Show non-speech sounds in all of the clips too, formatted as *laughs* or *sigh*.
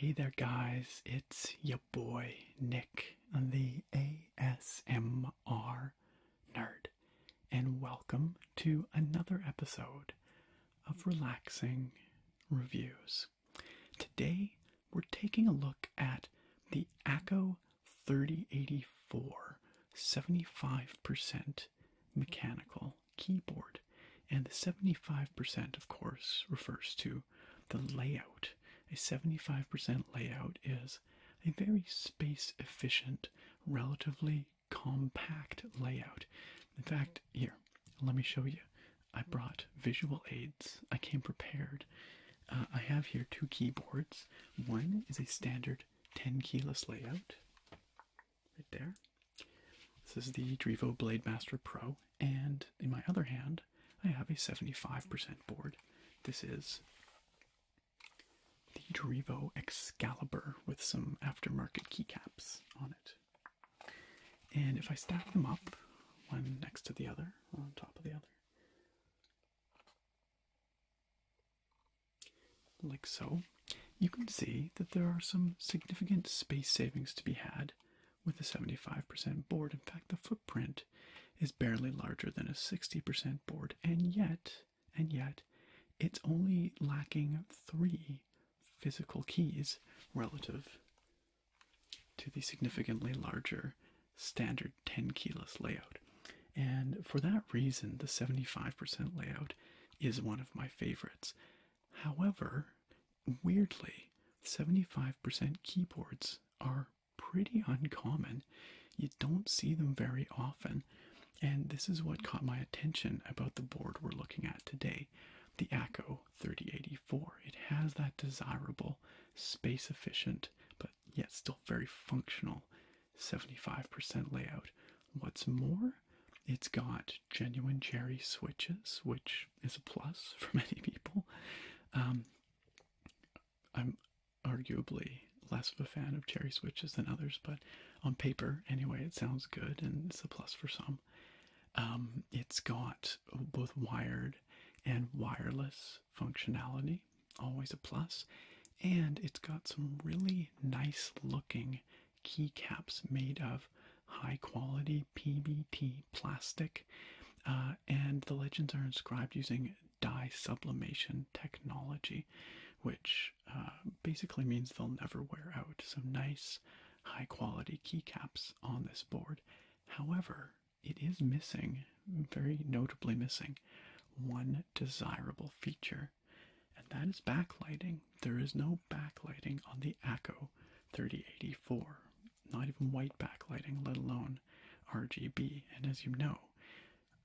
Hey there, guys, it's your boy Nick, the ASMR nerd, and welcome to another episode of relaxing reviews. Today, we're taking a look at the ACO 3084 75% mechanical keyboard. And the 75%, of course, refers to the layout. A 75% layout is a very space efficient, relatively compact layout. In fact, here, let me show you. I brought visual aids. I came prepared. Uh, I have here two keyboards. One is a standard 10 keyless layout, right there. This is the Drivo Blade Master Pro, and in my other hand, I have a 75% board. This is the Drivo Excalibur with some aftermarket keycaps on it. And if I stack them up, one next to the other, on top of the other, like so, you can see that there are some significant space savings to be had with a 75% board. In fact, the footprint is barely larger than a 60% board, and yet, and yet, it's only lacking three physical keys relative to the significantly larger standard 10 keyless layout. And for that reason, the 75% layout is one of my favorites. However, weirdly, 75% keyboards are pretty uncommon. You don't see them very often. And this is what caught my attention about the board we're looking at today, the ACO Pro 3084. It has that desirable, space efficient, but yet still very functional 75% layout. What's more, it's got genuine cherry switches, which is a plus *laughs* for many people. Um, I'm arguably less of a fan of cherry switches than others, but on paper, anyway, it sounds good and it's a plus for some. Um, it's got both wired and wireless functionality, always a plus, and it's got some really nice looking keycaps made of high quality PBT plastic, uh, and the legends are inscribed using dye sublimation technology, which uh, basically means they'll never wear out. So, nice high quality keycaps on this board. However, it is missing, very notably missing, one desirable feature, and that is backlighting. There is no backlighting on the ACO 3084, not even white backlighting, let alone RGB. And as you know,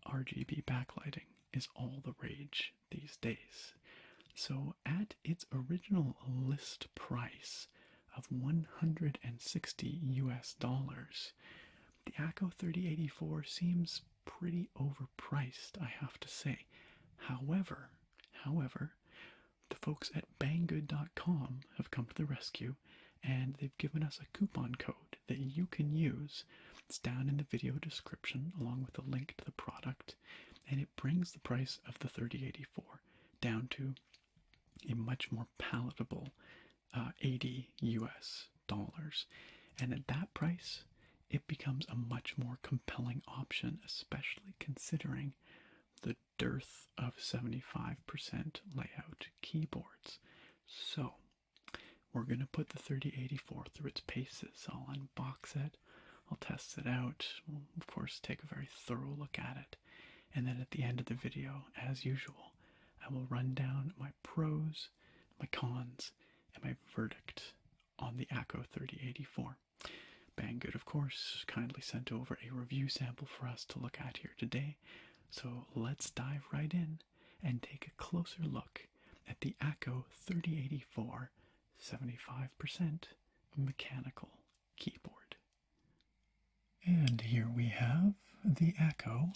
RGB backlighting is all the rage these days. So, at its original list price, of 160 US dollars. The ACO 3084 seems pretty overpriced, I have to say. However, however, the folks at banggood.com have come to the rescue and they've given us a coupon code that you can use. It's down in the video description along with a link to the product and it brings the price of the 3084 down to a much more palatable 80 uh, US dollars. And at that price, it becomes a much more compelling option, especially considering the dearth of 75% layout keyboards. So, we're going to put the 3084 through its paces. I'll unbox it I'll test it out. of course, take a very thorough look at it. And then at the end of the video, as usual, I will run down my pros, my cons, and my verdict on the ACO 3084. Banggood, of course, kindly sent over a review sample for us to look at here today. So let's dive right in and take a closer look at the ACO 3084 75% mechanical keyboard. And here we have the Echo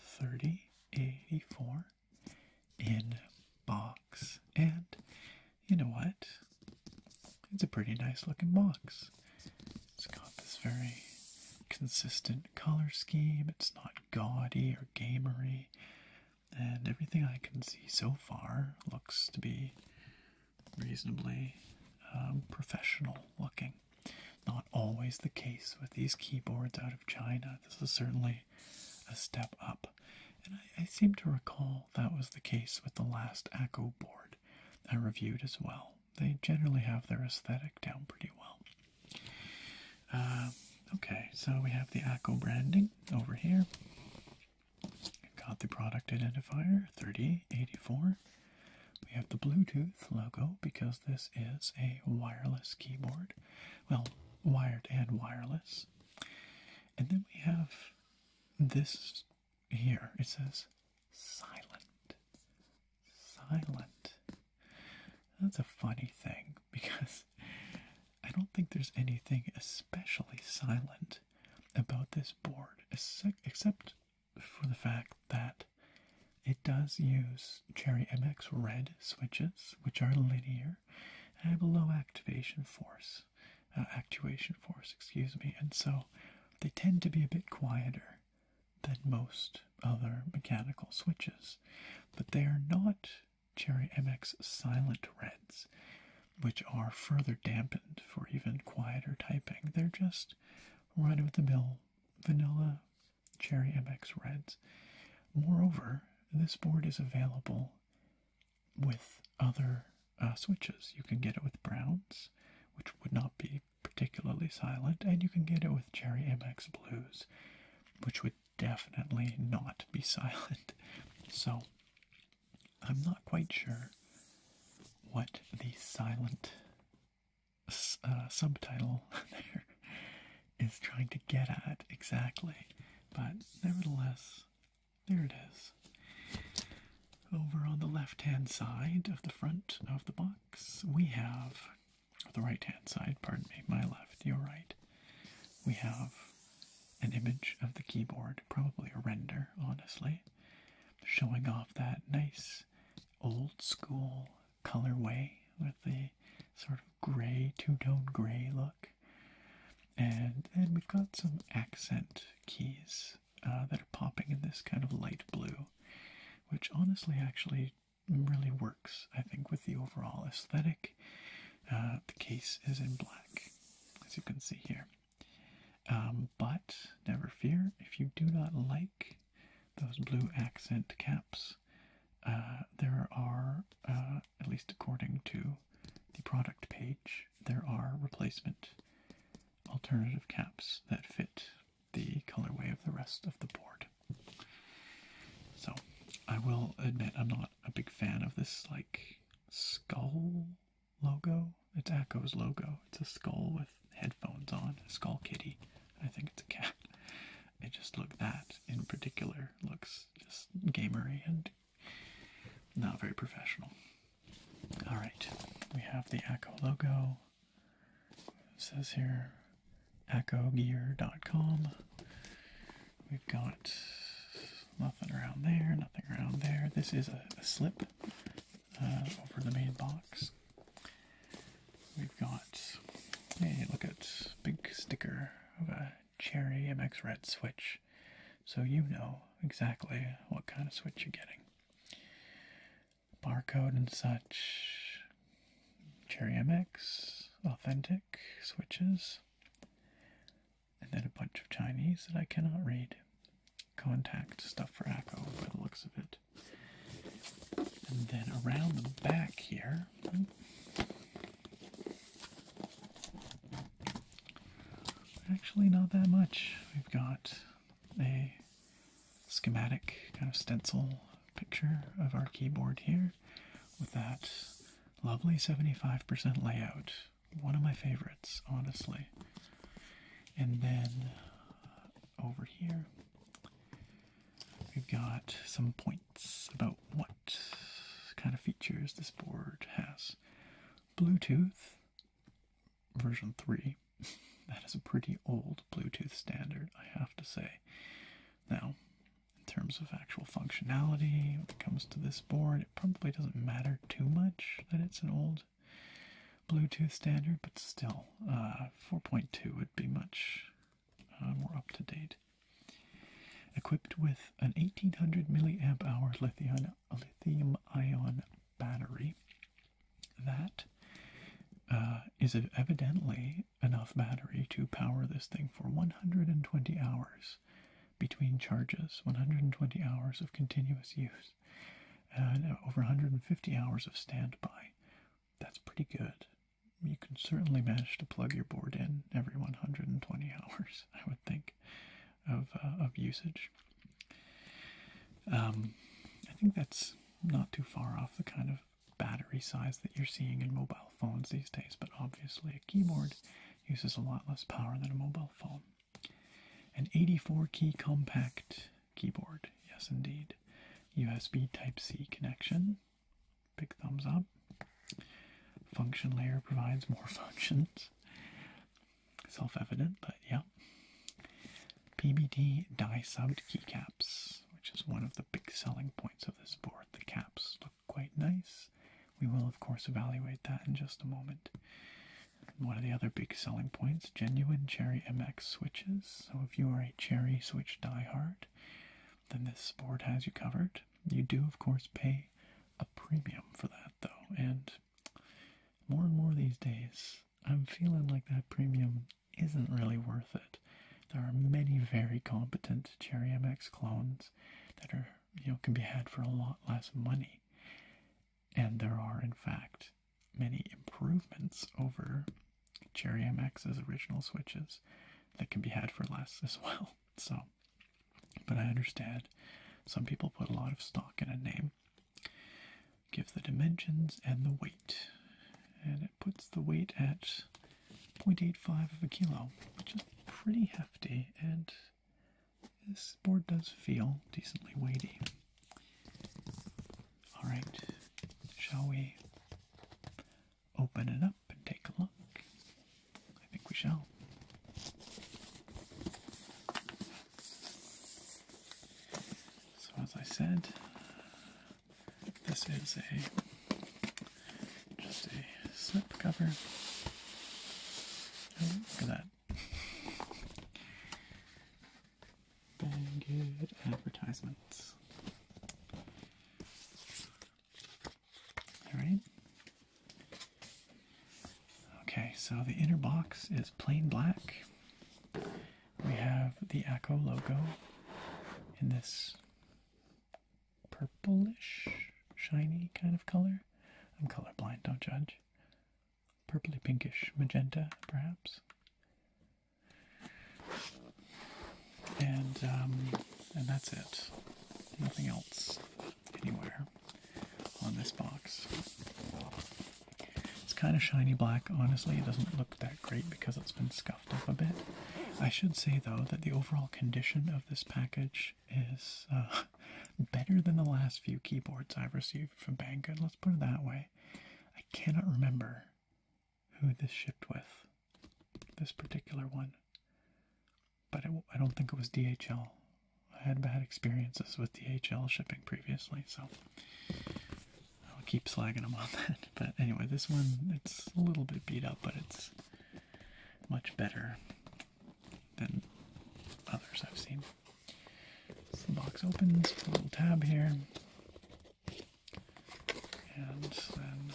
3084 in box. And you know what? It's a pretty nice looking box. It's got this very consistent color scheme. It's not gaudy or gamery. And everything I can see so far looks to be reasonably um, professional looking. Not always the case with these keyboards out of China. This is certainly a step up. And I, seem to recall that was the case with the last ACO board I reviewed as well. They generally have their aesthetic down pretty well. Uh, okay, so we have the ACO branding over here. Got the product identifier 3084. We have the Bluetooth logo because this is a wireless keyboard. Well, wired and wireless. And then we have this here. It says silent. Silent. That's a funny thing *laughs* because I don't think there's anything especially silent about this board, except for the fact that it does use Cherry MX red switches, which are linear and have a low activation force, uh, actuation force, excuse me, and so they tend to be a bit quieter than most other mechanical switches, but they are not Cherry MX silent reds which are further dampened for even quieter typing. They're just right of the mill vanilla Cherry MX Reds. Moreover, this board is available with other uh, switches. You can get it with browns, which would not be particularly silent, and you can get it with Cherry MX Blues, which would definitely not be *laughs* silent. So I'm not quite sure what the silent uh, subtitle *laughs* there is trying to get at exactly, but nevertheless, there it is. Over on the left hand side of the front of the box, we have the right hand side, pardon me, my left, your right, we have an image of the keyboard, probably a render, honestly showing off that nice old school colorway with the sort of gray, two tone gray look. And then we've got some accent keys uh, that are popping in this kind of light blue, which honestly actually really works, I think, with the overall aesthetic. Uh, the case is in black, as you can see here. Um, but never fear, if you do not like those blue accent caps, uh, there are, uh, at least according to the product page, there are replacement alternative caps that fit the colorway of the rest of the board. So, I will admit I'm not a big fan of this, like, skull logo. It's Echo's logo. It's a skull with headphones on, a skull kitty. I think it's a cat. It just look that in particular looks just gamery and not very professional. All right, we have the Echo logo. It says here echogear.com. We've got nothing around there, nothing around there. This is a slip uh, over the main box. We've got a look at big sticker of a Cherry MX Red switch, so you know exactly what kind of switch you're getting. Barcode and such. Cherry MX, authentic switches, and then a bunch of Chinese that I cannot read contact stuff for Echo by the looks of it. And then around the back here, actually not that much. We've got a schematic kind of stencil picture of our keyboard here with that lovely 75% layout. One of my favorites, honestly. And then over here, we've got some points about what kind of features this board has. Bluetooth version 3. *laughs* that is a pretty old Bluetooth standard, I have to say. Now, in terms of actual functionality, when it comes to this board, it probably doesn't matter too much that it's an old Bluetooth standard, but still, uh, 4.2 would be much uh, more up to date. Equipped with an 1800 milliamp hour lithium, ion battery, that uh, is evidently enough battery to power this thing for 120 hours between charges, 120 hours of continuous use and over 150 hours of standby. That's pretty good. You can certainly manage to plug your board in every 120 hours, *laughs* I would think, of uh, of usage. Um, I think that's not too far off the kind of battery size that you're seeing in mobile phones these days, but obviously a keyboard uses a lot less power than a mobile phone. An 84 key compact keyboard. Yes, indeed. USB Type C connection. Big thumbs up. Function layer provides more *laughs* functions. Self evident, but yeah. PBD die subbed keycaps, which is one of the big selling points of this board. The caps look quite nice. We will, of course, evaluate that in just a moment one of the other big selling points genuine Cherry MX switches. So if you are a Cherry Switch diehard, then this board has you covered. You do, of course, pay a premium for that though, and more and more these days, I'm feeling like that premium isn't really worth it. There are many very competent Cherry MX clones that are you know can be had for a lot less money and there are, in fact, many improvements over Cherry MX's original switches that can be had for less as well. *laughs* So, but I understand some people put a lot of stock in a name, give the dimensions and the weight, and it puts the weight at 0.85 of a kilo, which is pretty hefty, and this board does feel decently weighty. All right, shall we open it up and take a look? I think we shall. So, as I said, this is a just a slip cover. Oh, look at that. Bang good advertisements. Alright. Okay, so the inner box is plain black. We have the Echo logo in this purplish, shiny kind of color. I'm colorblind, don't judge. Purpley pinkish magenta, perhaps. And um, and that's it. Nothing else anywhere on this box. It's kind of shiny black. Honestly, it doesn't look that great because it's been scuffed up a bit. I should say though that the overall condition of this package is uh, *laughs* better than the last few keyboards I've received from Banggood. Let's put it that way. I cannot remember who this shipped with, this particular one. But I don't think it was DHL. I had bad experiences with DHL shipping previously, so I'll keep slagging them on *laughs* that. But anyway, this one, it's a little bit beat up, but it's much better than others I've seen. So the box opens, a little tab here and then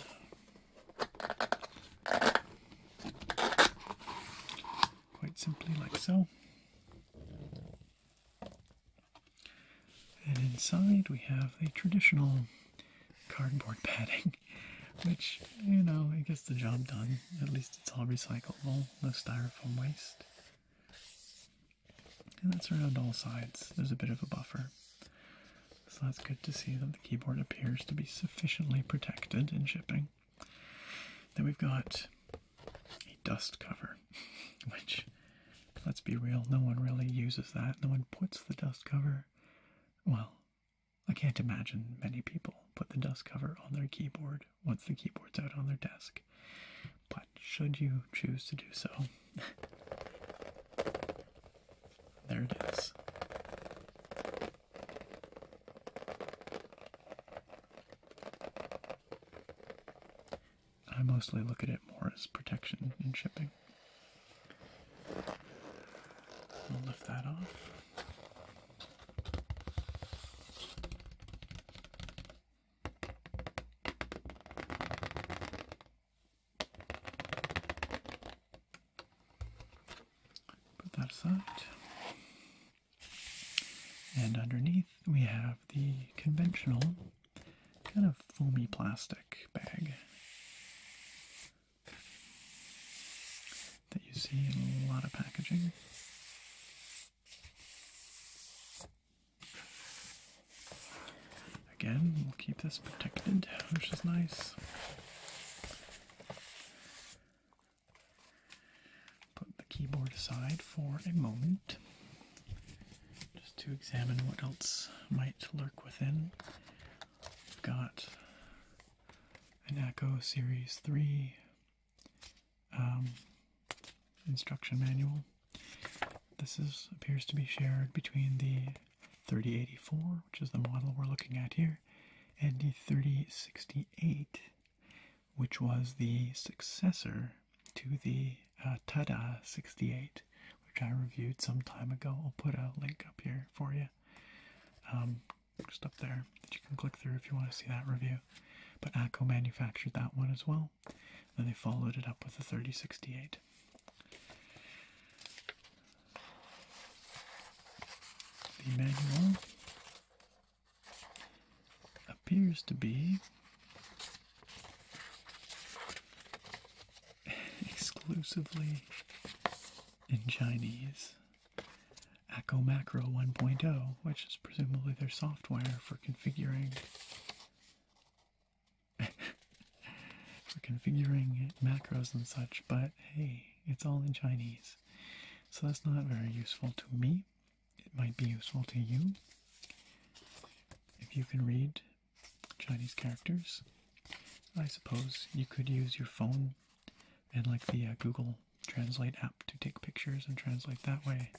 quite simply like so. And inside we have the traditional cardboard *laughs* padding, which, you know, it gets the job done. At least it's all recyclable, no styrofoam waste and that's around all sides. There's a bit of a buffer. So that's good to see that the keyboard appears to be sufficiently protected in shipping. Then we've got a dust cover, *laughs* which, let's be real, no one really uses that. No one puts the dust cover, well, I can't imagine many people put the dust cover on their keyboard once the keyboard's out on their desk. But should you choose to do so, *laughs* there it is. I mostly look at it more as protection and shipping. We'll lift that off. Put that aside. And underneath we have the conventional kind of foamy plastic bag that you see in a lot of packaging. Again, we'll keep this protected, which is nice. Put the keyboard aside for a moment just to examine what else might lurk within. We've got an Echo Series 3 um, instruction manual. This is appears to be shared between the 3084, which is the model we're looking at here, and the 3068, which was the successor to the uh, Tada 68, which I reviewed some time ago. I'll put a link up here for you, um, just up there that you can click through if you want to see that review. But ACO manufactured that one as well. Then they followed it up with a 3068. The manual appears to be *laughs* exclusively in Chinese. Acco Macro 1.0, which is presumably their software for configuring for *laughs* configuring macros and such, but hey, it's all in Chinese. So that's not very useful to me. It might be useful to you if you can read Chinese characters. I suppose you could use your phone and like the uh, Google Translate app to take pictures and translate that way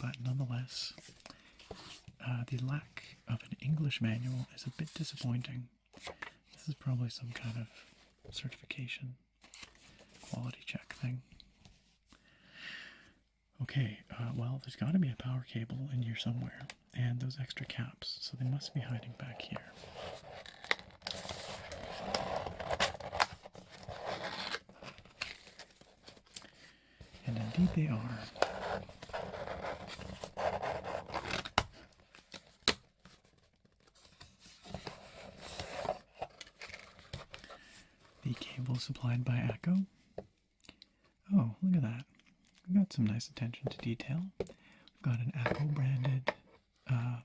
but nonetheless, uh, the lack of an English manual is a bit disappointing. This is probably some kind of certification quality check thing. Okay, uh, well, there's got to be a power cable in here somewhere, and those extra caps, so they must be hiding back here. And indeed they are. The cable supplied by ACO. Oh, look at that. We've got some nice attention to detail. We've got an ACO branded uh,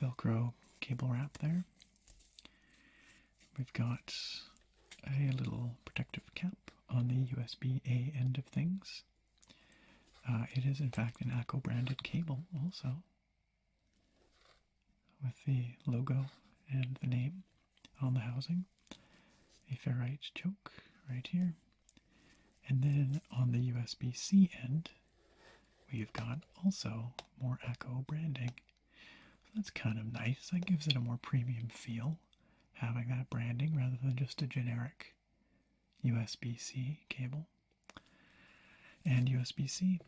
Velcro cable wrap there. We've got a little protective cap on the USB A end of things. Uh, it is, in fact, an ACO branded cable, also, with the logo and the name on the housing. A ferrite choke right here. And then on the USB C end, we've got also more ACO branding that's kind of nice. That gives it a more premium feel, having that branding rather than just a generic USB C cable. And USB C,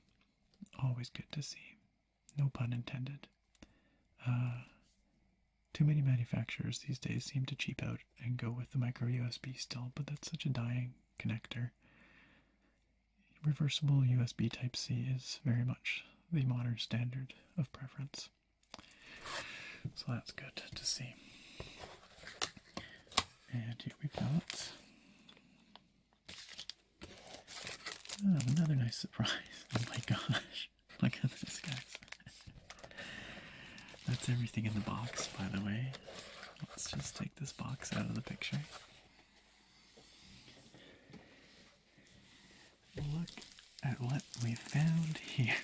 always good to see. No pun intended. Uh, too many manufacturers these days seem to cheap out and go with the micro USB still, but that's such a dying connector. Reversible USB Type C is very much the modern standard of preference. So that's good to see. And here we've got oh, another nice surprise. *laughs* Oh my gosh. *laughs* Look at this, guys. *laughs* That's everything in the box, by the way. Let's just take this box out of the picture. Look at what we found here.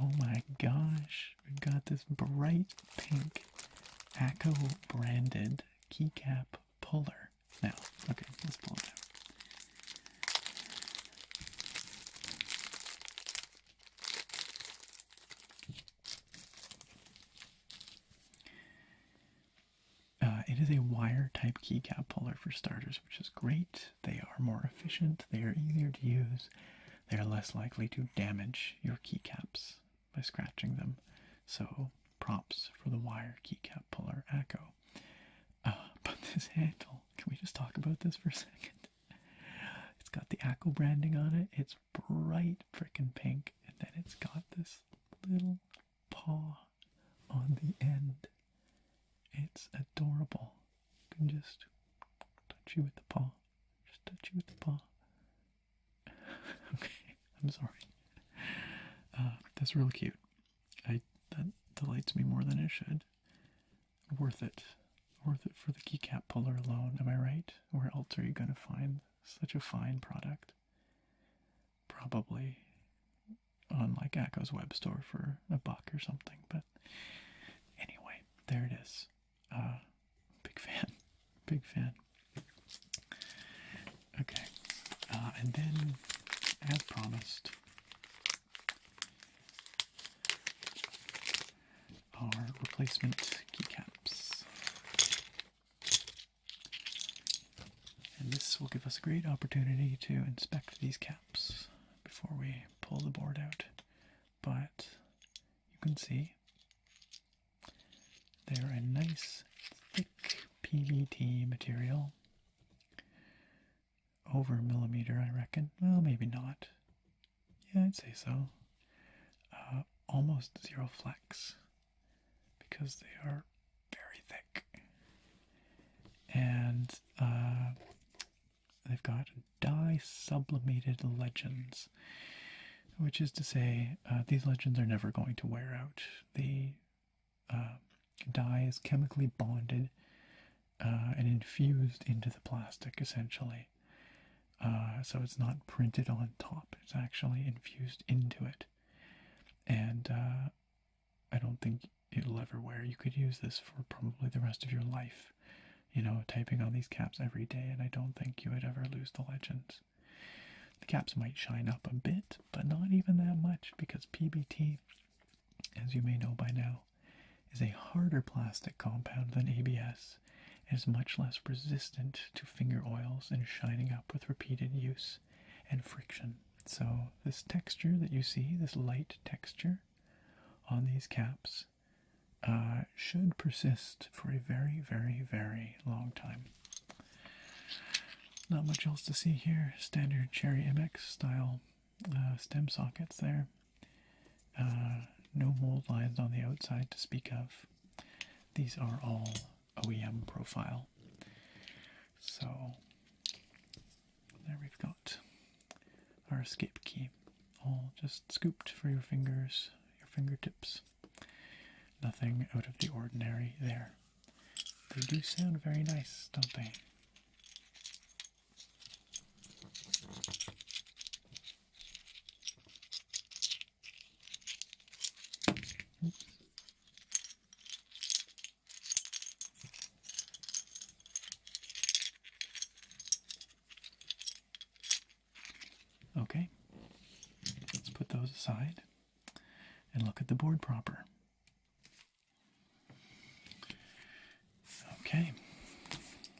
Oh my gosh, we got this bright pink ACO branded keycap puller. Now, okay, let's pull it out. Uh, it is a wire type keycap puller for starters, which is great. They are more efficient, they are easier to use, they are less likely to damage your keycaps by scratching them. So, props for the wire keycap puller Acco. Uh, *laughs* but this handle, can we just talk about this for a second? It's got the Acco branding on it, it's bright frickin' pink, and then it's got this little paw on the end. It's adorable. You can just touch you with the paw. Just touch you with the paw. *laughs* okay, I'm sorry. Uh, that's real cute. I that delights me more than it should. Worth it. Worth it for the keycap puller alone, am I right? Where else are you going to find such a fine product? probably on like Echo's web store for a buck or something. But anyway, there it is. Uh, big fan, *laughs* big fan. Okay, uh, and then as promised, our replacement keycaps. And this will give us a great opportunity to inspect these caps before we pull the board out. But you can see they're a nice thick PVT material. Over a millimeter, I reckon. Well, maybe not. Yeah, I'd say so. Uh, almost zero flex because they are very thick. And uh, they've got dye sublimated legends, which is to say, uh, these legends are never going to wear out. The uh, dye is chemically bonded uh, and infused into the plastic essentially. so it's not printed on top, it's actually infused into it. And I don't think it'll ever wear. You could use this for probably the rest of your life, you know, typing on these caps every day, and I don't think you would ever lose the legends. The caps might shine up a bit, but not even that much because PBT, as you may know by now, is a harder plastic compound than ABS and is much less resistant to finger oils and shining up with repeated use and friction. So, this texture that you see, this light texture on these caps, uh, should persist for a very, very, very long time. Not much else to see here. Standard Cherry MX style uh, stem sockets there. Uh, no mold lines on the outside to speak of. These are all OEM profile so there we've got our escape key, all just scooped for your fingers, your fingertips. Nothing out of the ordinary there. They do sound very nice, don't they? Okay, let's put those aside and look at the board proper. Okay,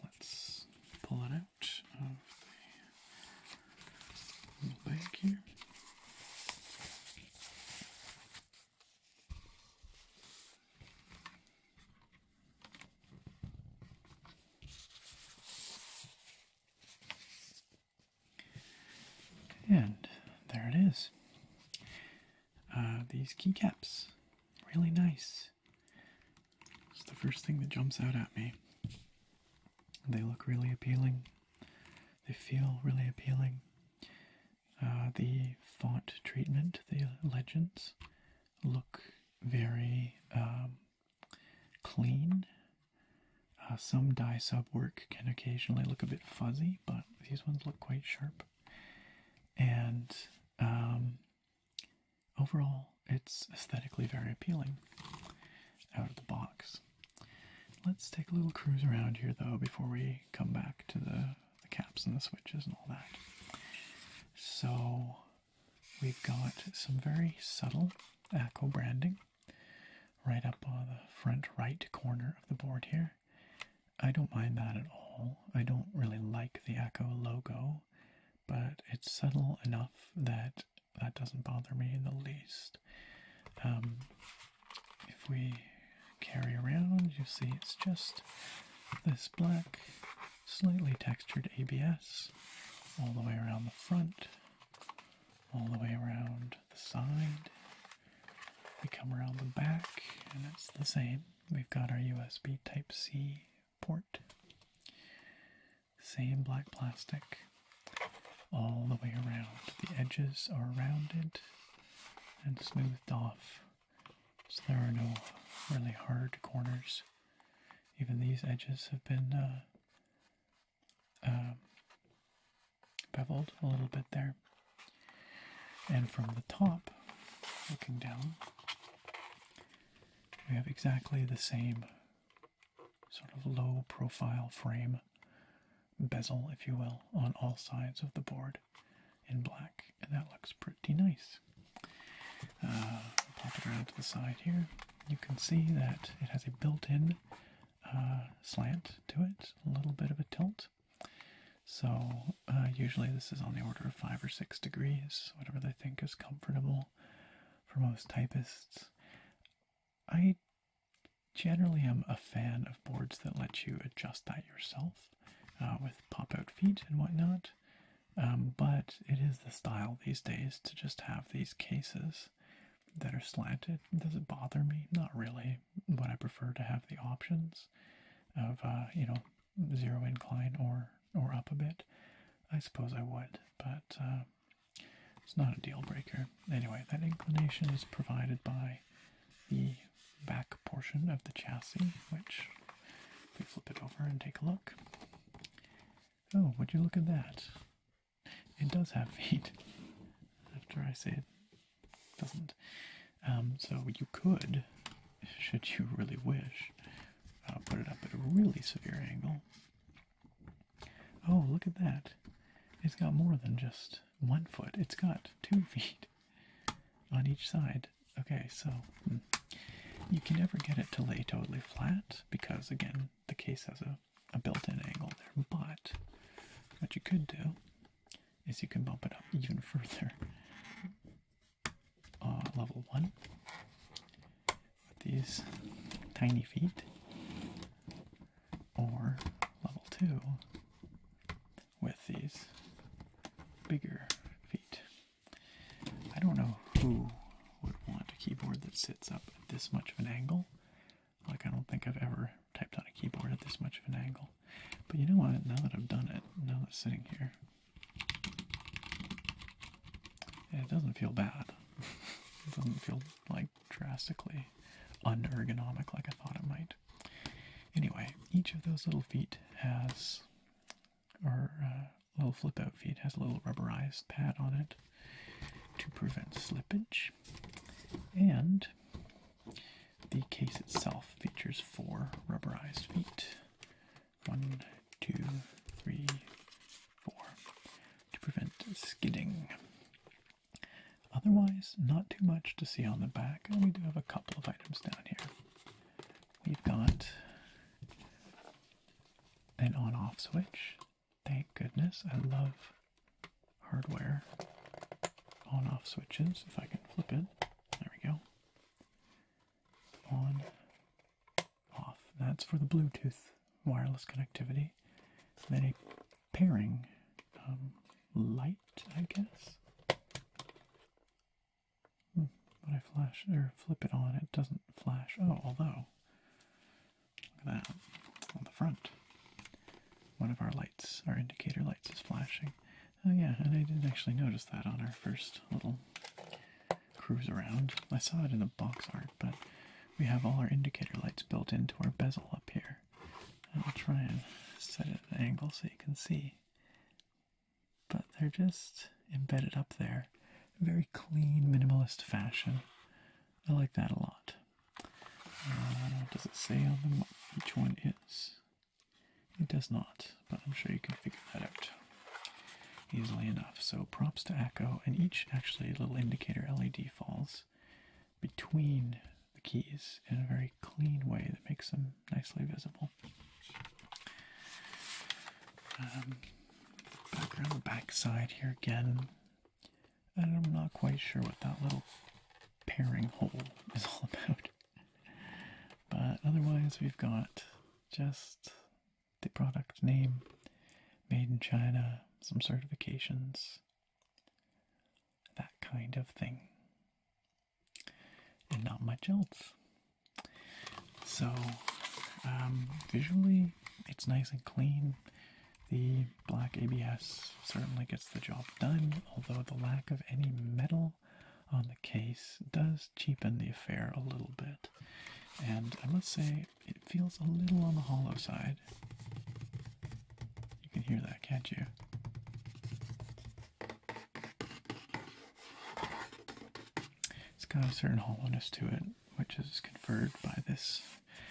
let's pull it out of the little bag here. And there it is. Uh, these keycaps, really nice. It's the first thing that jumps out at me. They look really appealing. They feel really appealing. Uh, the font treatment, the legends look very um, clean. Uh, some die sub work can occasionally look a bit fuzzy, but these ones look quite sharp. And um, overall, it's aesthetically very appealing out of the box. Let's take a little cruise around here though before we come back to the the caps and the switches and all that. So we've got some very subtle Echo branding right up on the front right corner of the board here. I don't mind that at all. I don't really like the Echo logo, but it's subtle enough that that doesn't bother me in the least. Um, if we carry around, you see it's just this black, slightly textured ABS all the way around the front, all the way around the side. We come around the back, and it's the same. We've got our USB Type C port, same black plastic. All the way around. The edges are rounded and smoothed off so there are no really hard corners. Even these edges have been uh, um, beveled a little bit there. And from the top, looking down, we have exactly the same sort of low profile frame bezel, if you will, on all sides of the board in black, and that looks pretty nice. Uh, pop it around to the side here. You can see that it has a built-in uh, slant to it, a little bit of a tilt. So uh, usually this is on the order of five or six degrees, whatever they think is comfortable for most typists. I generally am a fan of boards that let you adjust that yourself uh, with pop out feet and whatnot. Um, but it is the style these days to just have these cases that are slanted. Does it bother me? Not really. But I prefer to have the options of uh, you know zero incline or or up a bit. I suppose I would, but uh, it's not a deal breaker. Anyway, that inclination is provided by the back portion of the chassis, which we flip it over and take a look. Oh, would you look at that? It does have feet. After I say it doesn't. Um, so you could, should you really wish, uh, put it up at a really severe angle. Oh, look at that. It's got more than just one foot. It's got two *laughs* feet on each side. Okay, so hmm. you can never get it to lay totally flat because, again, the case has a, a built in angle there. But what you could do is you can bump it up even *laughs* further. Uh, level one with these tiny feet, or level two with these bigger feet. I don't know who would want a keyboard that sits up at this much of an angle. Like, I don't think I've ever typed on a keyboard at this much of an angle. But you know what? Now that I've done it, now that it's sitting here, it doesn't feel bad. *laughs* it doesn't feel like drastically unergonomic like I thought it might. Anyway, each of those little feet has, or uh, little flip out feet, has a little rubberized pad on it to prevent slippage. And the case itself features four rubberized feet. One, two, three, four, to prevent skidding. Otherwise, not too much to see on the back, we do have a couple of items down here we've got an on off switch. Thank goodness. I love hardware on off switches. If I can flip it, there we go. On off. That's for the Bluetooth wireless connectivity. And then a pairing um, light, I guess. When hmm, I flash or flip it on, it doesn't flash. Oh, although, look at that on the front. One of our lights, our indicator lights, is flashing. Oh, yeah, and I didn't actually notice that on our first little cruise around. I saw it in the box art, but we have all our indicator lights built into our bezel up here. I'll try and set it at an angle so you can see but they're just embedded up there. Very clean, minimalist fashion. I like that a lot. Uh, does it say on them what each one is? It does not, but I'm sure you can figure that out easily enough. So props to Echo, and each actually little indicator LED falls between the keys in a very clean way that makes them nicely visible. Um, back around the back side here again, I'm not quite sure what that little pairing hole *laughs* is all about. But otherwise, we've got just the product name, made in China, some certifications, that kind of thing and not much else. So, um, visually, it's nice and clean. The black ABS certainly gets the job done, although the lack of any metal on the case does cheapen the affair a little bit. And I must say, it feels a little on the hollow side. You can hear that, can't you? It's got a certain hollowness to it, which is conferred by this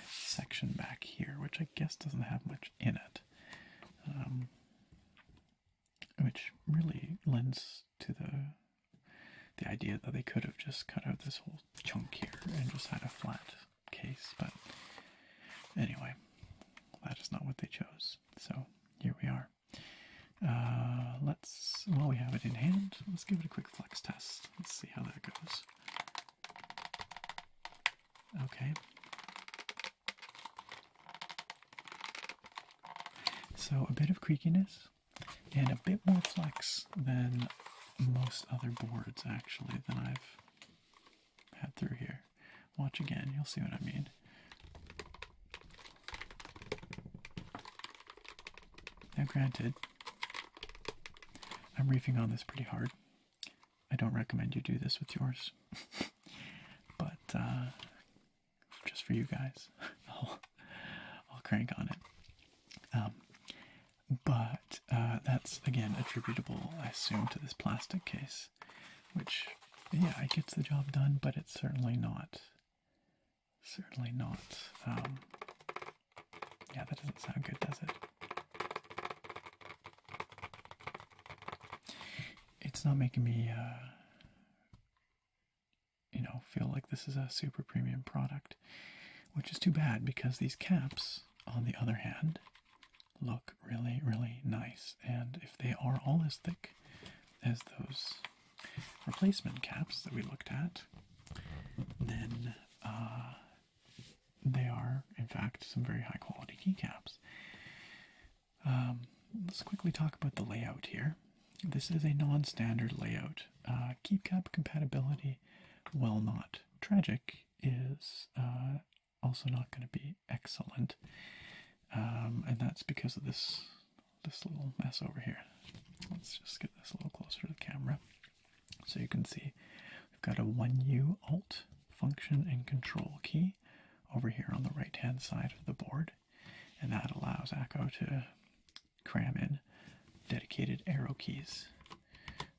section back here, which I guess doesn't have much in it, um, which really lends to the the idea that they could have just cut out this whole chunk here and just had a flat case, but anyway, that is not what they chose. So here we are are. Uh, let's, while we have it in hand, let's give it a quick flex test. Let's see how that goes. Okay. So a bit of creakiness and a bit more flex than most other boards actually than I've had through here. Watch again, you'll see what I mean. Now, granted, I'm reefing on this pretty hard. I don't recommend you do this with yours, *laughs* but uh, just for you guys, *laughs* I'll, crank on it. Um, but uh, that's again attributable, I assume, to this plastic case, which, yeah, it gets the job done, but it's certainly not Certainly not. Um, yeah, that doesn't sound good, does it? It's not making me, uh, you know, feel like this is a super premium product, which is too bad because these caps, on the other hand, look really, really nice. And if they are all as thick as those replacement caps that we looked at, then uh, they are, in fact, some very high quality keycaps. Um, let's quickly talk about the layout here. This is a non standard layout. Uh, keycap compatibility, well, not tragic, is uh, also not going to be excellent. Um, and that's because of this this little mess over here. Let's just get this a little closer to the camera. So you can see we've got a 1U Alt function and control key over here on the right hand side of the board, and that allows Echo to cram in dedicated arrow keys.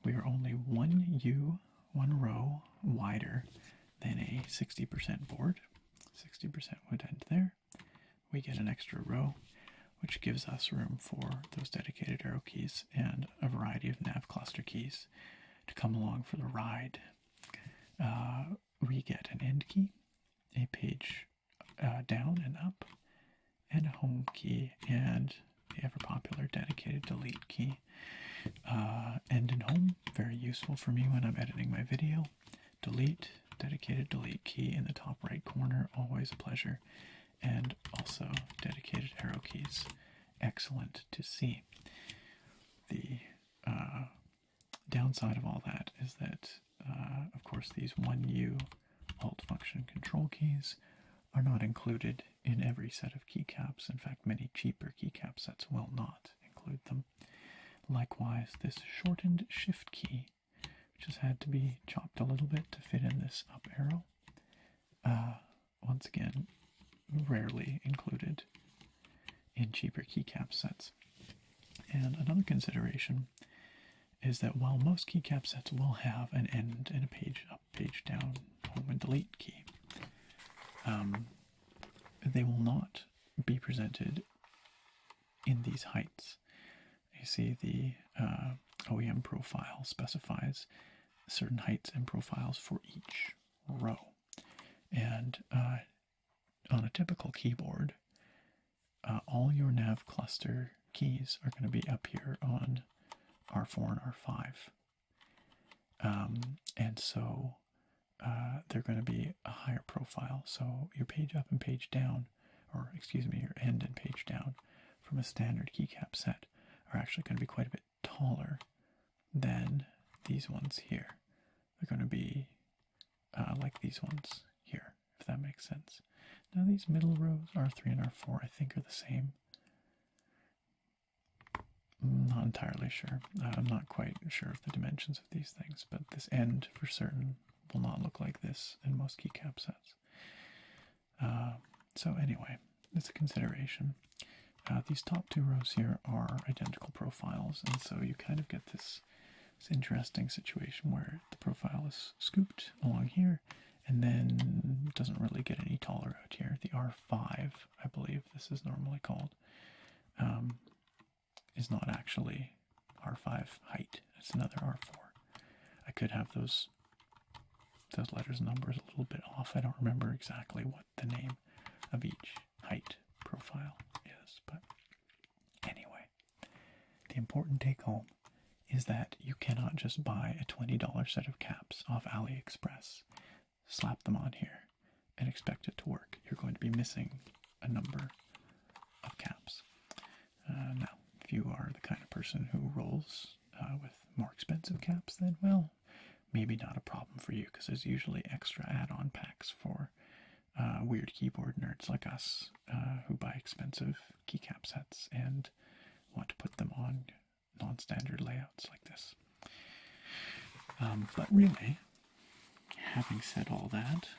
We are only 1U, one row wider than a 60% board. 60% would end there we get an extra row, which gives us room for those dedicated arrow keys and a variety of nav cluster keys to come along for the ride. Uh, we get an end key, a page uh, down and up, and a home key, and the ever popular dedicated delete key. Uh, end and home, very useful for me when I'm editing my video. Delete, dedicated delete key in the top right corner, always a pleasure. And also dedicated arrow keys, excellent to see. The uh, downside of all that is that, uh, of course, these 1U Alt function control keys are not included in every set of keycaps. In fact, many cheaper keycap sets will not include them. Likewise, this shortened shift key, which has had to be chopped a little bit to fit in this up arrow, uh, once again, rarely included in cheaper keycap sets. And another consideration is that while most keycap sets will have an end and a page up, page down, home and delete key, um, they will not be presented in these heights. You see the uh, OEM profile specifies certain heights and profiles for each row. And uh, on a typical keyboard, uh, all your nav cluster keys are going to be up here on R4 and R5. Um, and so uh, they're going to be a higher profile. So your page up and page down, or excuse me, your end and page down from a standard keycap set are actually going to be quite a bit taller than these ones here. They're going to be uh, like these ones here, if that makes sense. Now these middle rows, R3 and R4, I think are the same. I'm not entirely sure. I'm not quite sure of the dimensions of these things, but this end for certain will not look like this in most keycap sets. Uh, so anyway, it's a consideration. Uh, these top two rows here are identical profiles, and so you kind of get this, interesting situation where the profile is scooped along here, and then doesn't really get any taller out here. The R5, I believe this is normally called, um, is not actually R5 height. It's another R4. I could have those those letters numbers a little bit off. I don't remember exactly what the name of each height profile is, but anyway, the important take home is that you cannot just buy a $20 set of caps off AliExpress, slap them on here, and expect it to work. You're going to be missing a number of caps. Uh, now, if you are the kind of person who rolls uh, with more expensive caps, then well, maybe not a problem for you because there's usually extra add-on packs for uh, weird keyboard nerds like us who buy expensive keycap sets and want to put them on non-standard layouts like this. Um, but really, having said all that,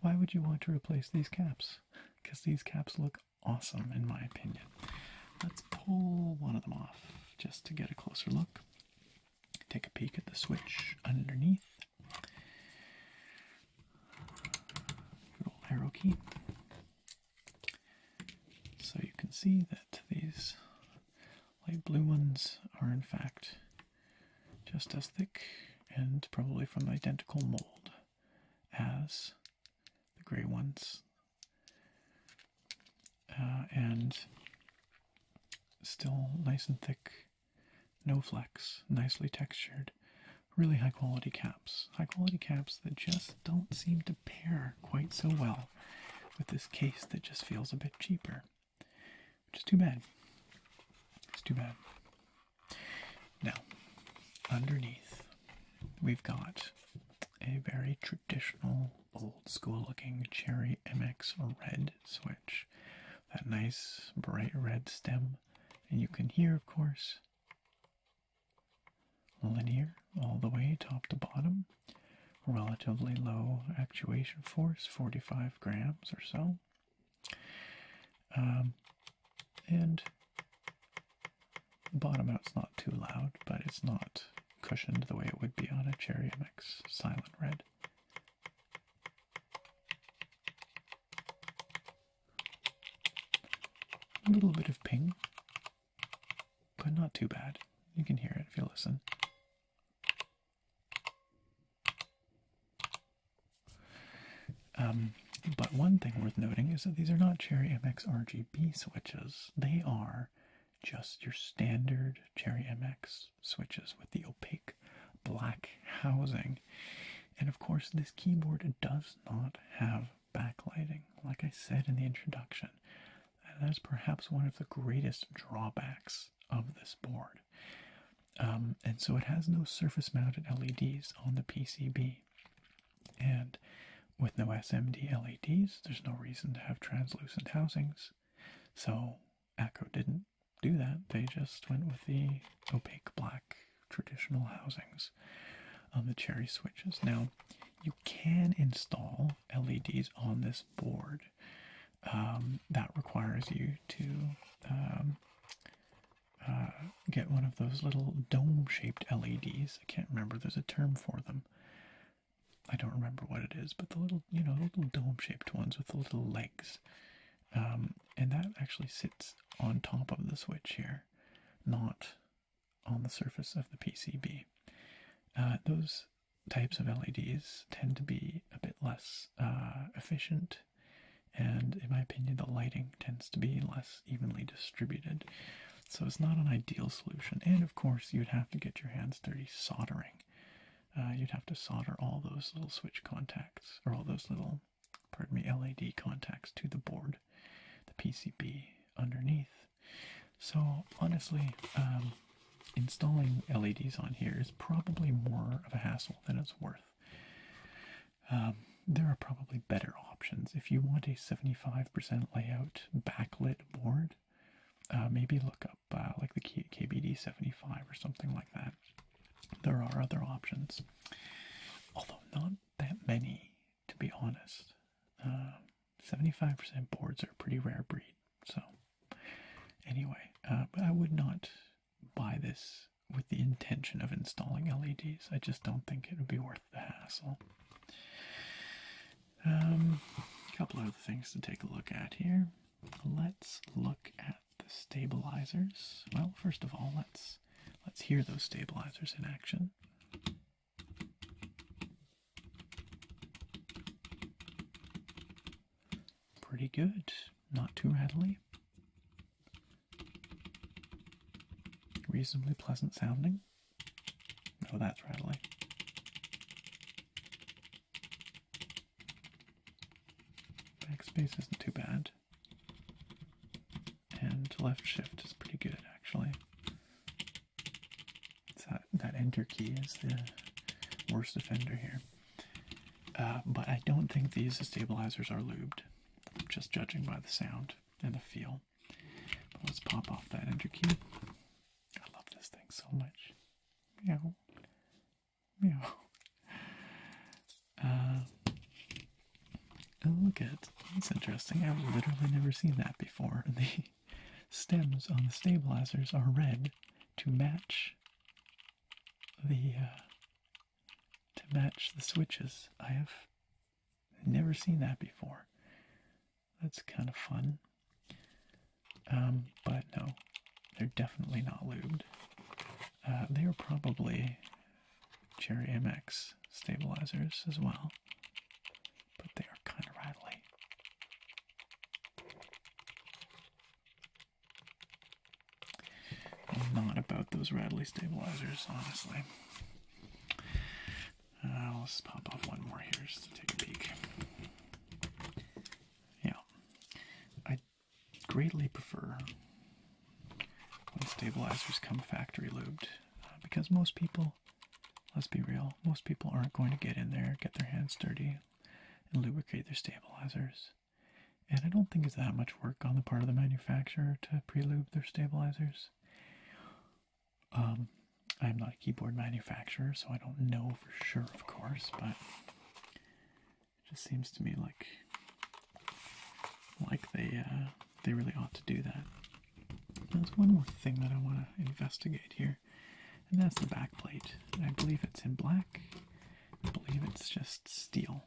why would you want to replace these caps? Because these caps look awesome, in my opinion. Let's pull one of them off just to get a closer look. Take a peek at the switch underneath. Good old arrow key. So you can see that these light blue ones are, in fact, just as thick and probably from identical mold as the gray ones. Uh, and still nice and thick, no flex, nicely textured, really high quality caps. High quality caps that just don't seem to pair quite so well with this case that just feels a bit cheaper which is too bad. It's too bad. Now, underneath, we've got a very traditional, old school looking Cherry MX Red switch. That nice, bright red stem. And you can hear, of course, linear all the way top to bottom. Relatively low actuation force, 45 grams or so. Um, and the bottom out's not too loud, but it's not cushioned the way it would be on a Cherry MX Silent Red. A little bit of ping, but not too bad. You can hear it if you listen. Um, but one thing worth noting is that these are not Cherry MX RGB switches. They are just your standard Cherry MX switches with the opaque black housing. And of course, this keyboard does not have backlighting, like I said in the introduction. that's perhaps one of the greatest drawbacks of this board. Um, and so it has no surface mounted LEDs on the PCB. And with no SMD LEDs, there's no reason to have translucent housings. So ACO didn't do that. They just went with the opaque black traditional housings on the cherry switches. Now, you can install LEDs on this board. Um, that requires you to um, uh, get one of those little dome shaped LEDs. I can't remember, there's a term for them. I don't remember what it is, but the little, you know, the little dome shaped ones with the little legs. Um, and that actually sits on top of the switch here, not on the surface of the PCB. Uh, those types of LEDs tend to be a bit less uh, efficient and in my opinion, the lighting tends to be less evenly distributed. So it's not an ideal solution. And of course, you'd have to get your hands dirty soldering. Uh, you'd have to solder all those little switch contacts, or all those little, pardon me, LED contacts to the board, the PCB underneath. So honestly, um, installing LEDs on here is probably more of a hassle than it's worth. Um, there are probably better options. If you want a 75% layout backlit board, uh, maybe look up uh, like the KBD 75 or something like that. There are other options, although not that many, to be honest. 75% um, boards are a pretty rare breed. So, anyway, uh, I would not buy this with the intention of installing LEDs. I just don't think it would be worth the hassle. a um, couple other things to take a look at here. Let's look at the stabilizers. Well, first of all, let's let's hear those stabilizers in action. Pretty good, not too readily. Reasonably pleasant sounding. Oh, that's rattling. Backspace isn't too bad. And left shift is pretty good actually. that, that enter key is the worst offender here. Uh, but I don't think these stabilizers are lubed, just judging by the sound and the feel. let's pop off that enter key. I love this thing so much. Meow. Meow. Uh, oh, look at that's interesting. I've literally never seen that before. *laughs* The stems on the stabilizers are red to match the uh, to match the switches. I have never seen that before. That's kind of fun. Um, but no, they're definitely not lubed. Uh, they are probably Cherry MX stabilizers as well, but they are kind of rattly. I'm not about those rattly stabilizers, honestly. Uh, let's pop off one more here just to take a peek. Yeah, I greatly prefer when stabilizers come factory lubed uh, because most people, let's be real, most people aren't going to get in there, get their hands dirty, and lubricate their stabilizers. And I don't think it's that much work on the part of the manufacturer to pre-lube their stabilizers. Um, I'm not a keyboard manufacturer, so I don't know for sure, of course, but it just seems to me like like they uh, they really ought to do that. There's one more thing that I want to investigate here, and that's the backplate. I believe it's in black. I believe it's just steel.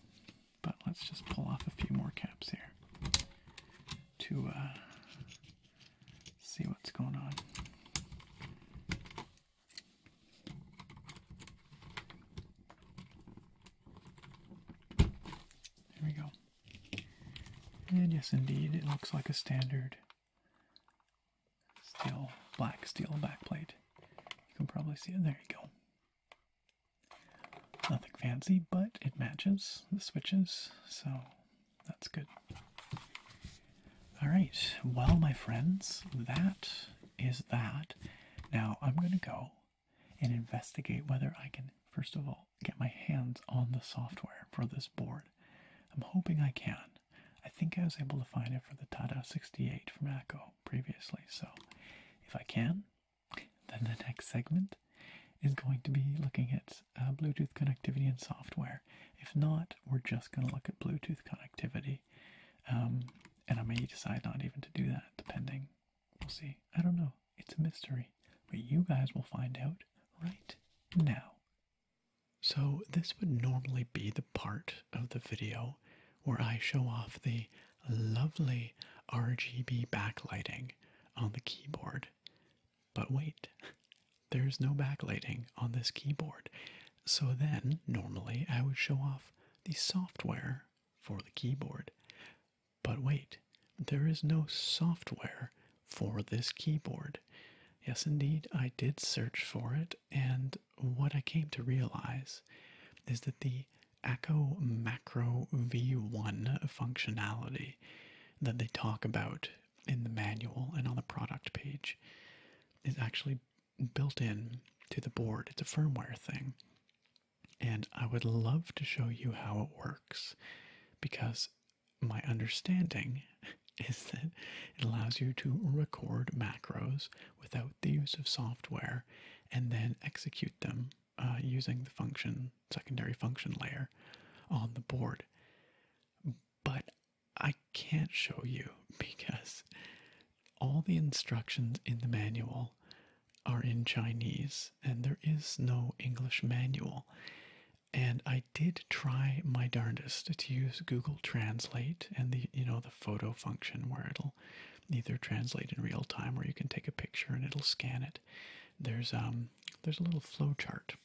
But let's just pull off a few more caps here to uh, see what's going on. There we go. And yes, indeed, it looks like a standard steel, black steel backplate. You can probably see it. There you go. Nothing fancy, but it matches the switches, so that's good. All right, well, my friends, that is that. Now I'm going to go and investigate whether I can, first of all, get my hands on the software for this board. I'm hoping I can. I think I was able to find it for the Tada 68 from Echo previously, so if I can, then the next segment is going to be looking at uh, Bluetooth connectivity and software. If not, we're just going to look at Bluetooth connectivity. Um, and I may decide not even to do that, depending. We'll see. I don't know. It's a mystery. But you guys will find out right now. So, this would normally be the part of the video where I show off the lovely RGB backlighting on the keyboard. But wait, *laughs* there's no backlighting on this keyboard. So then, normally, I would show off the software for the keyboard. But wait, there is no software for this keyboard. Yes, indeed, I did search for it, and what I came to realize is that the Echo Macro V1 functionality that they talk about in the manual and on the product page is actually built in to the board. It's a firmware thing. And I would love to show you how it works because my understanding *laughs* is that it allows you to record macros without the use of software and then execute them uh, using the function secondary function layer on the board, but I can't show you *laughs* because all the instructions in the manual are in Chinese and there is no English manual. And I did try my darndest to use Google Translate and the you know the photo function where it'll will either translate in real time or you can take a picture and it'll scan it. There's um, there's a little flow chart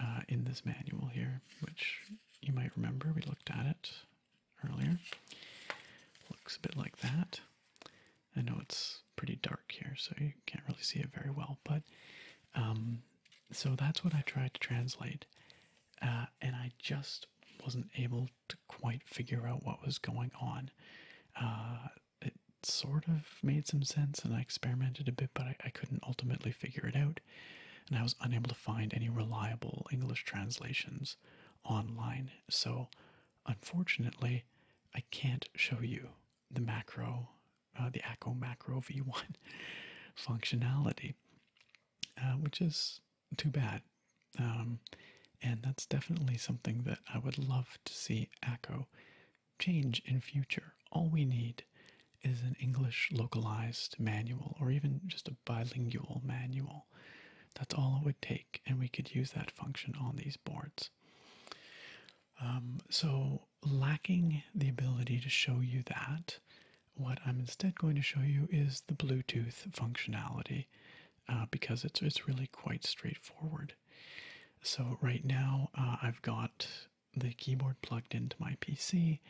uh, in this manual here, which you might remember we looked at it earlier. Looks a bit like that. I know it's pretty dark here, so you can't really see it very well, but um, so that's what I tried to translate, uh, and I just wasn't able quite figure out what was going on. Uh, it sort of made some sense, and I experimented a bit, but I, couldn't ultimately figure it out. And I was unable to find any reliable English translations online. So, unfortunately, I can't show you the macro, uh, the ACO macro *laughs* v1 functionality, uh, which is too bad um, and that's definitely something that I would love to see ACO change in future. All we need is an English localized manual or even just a bilingual manual. That's all it would take, and we could use that function on these boards. Um, so, lacking the ability to show you that, what I'm instead going to show you is the Bluetooth functionality uh, because it's it's really quite straightforward. So right now uh, I've got the keyboard plugged into my PC,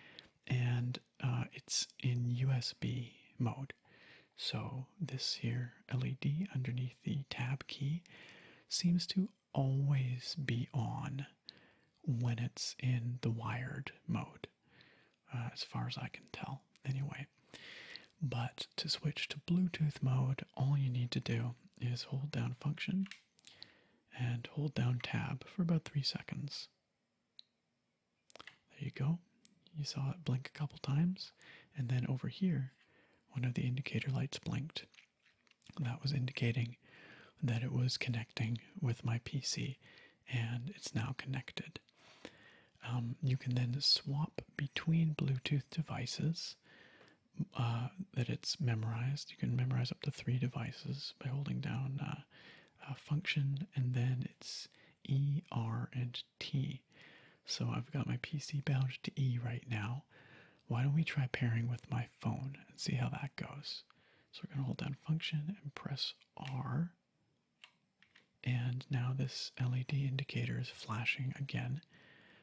and uh, it's in USB mode. So this here LED underneath the tab key seems to always be on when it's in the wired mode, as far as I can tell. Anyway, but to switch to Bluetooth mode, all you need to do is hold down function and hold down tab for about three seconds. There you go. You saw it blink a couple times, and then over here, one of the indicator lights blinked. That was indicating that it was connecting with my PC, and it's now connected. Um, you can then swap between Bluetooth devices uh, that it's memorized. You can memorize up to three devices by holding down uh, a function and then it's E, R, and T. So I've got my PC bound to E right now. Why don't we try pairing with my phone and see how that goes? So we're going to hold down function and press R. And now this LED indicator is flashing again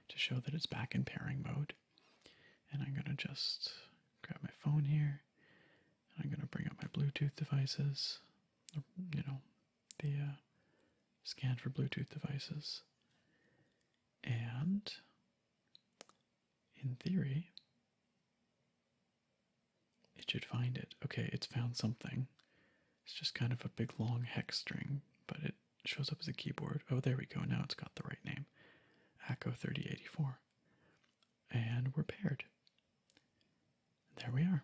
to show that it's back in pairing mode. And I'm going to just grab my phone here. And I'm going to bring up my Bluetooth devices, you know, the uh, scan for Bluetooth devices. And in theory, it should find it. Okay, it's found something. It's just kind of a big long hex string, but it shows up as a keyboard. Oh, there we go. Now it's got the right name. Echo 3084. And we're paired. There we are.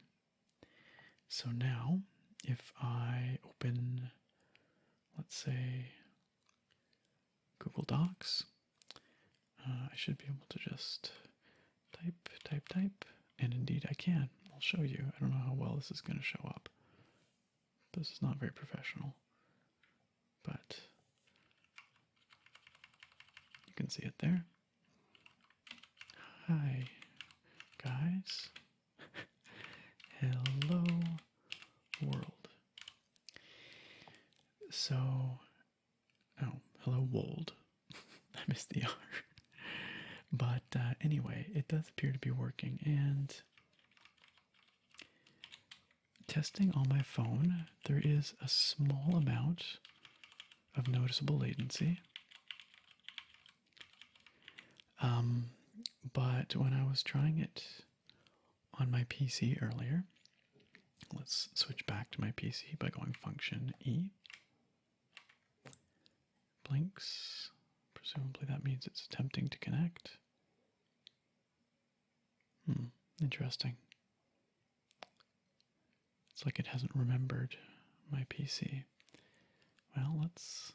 So now, if I open, let's say, Google Docs, uh, I should be able to just type, type, type, and indeed I can. I'll show you. I don't know how well this is going to show up. This is not very professional, but you can see it there. Hi, guys. *laughs* Hello, world. So, oh, hello, wold. *laughs* I missed the R but uh, anyway, it does appear to be working. And testing on my phone, there is a small amount of noticeable latency. Um, but when I was trying it on my PC earlier, let's switch back to my PC by going function E blinks. Presumably that means it's attempting to connect. Hmm, interesting. It's like it hasn't remembered my PC. Well, let's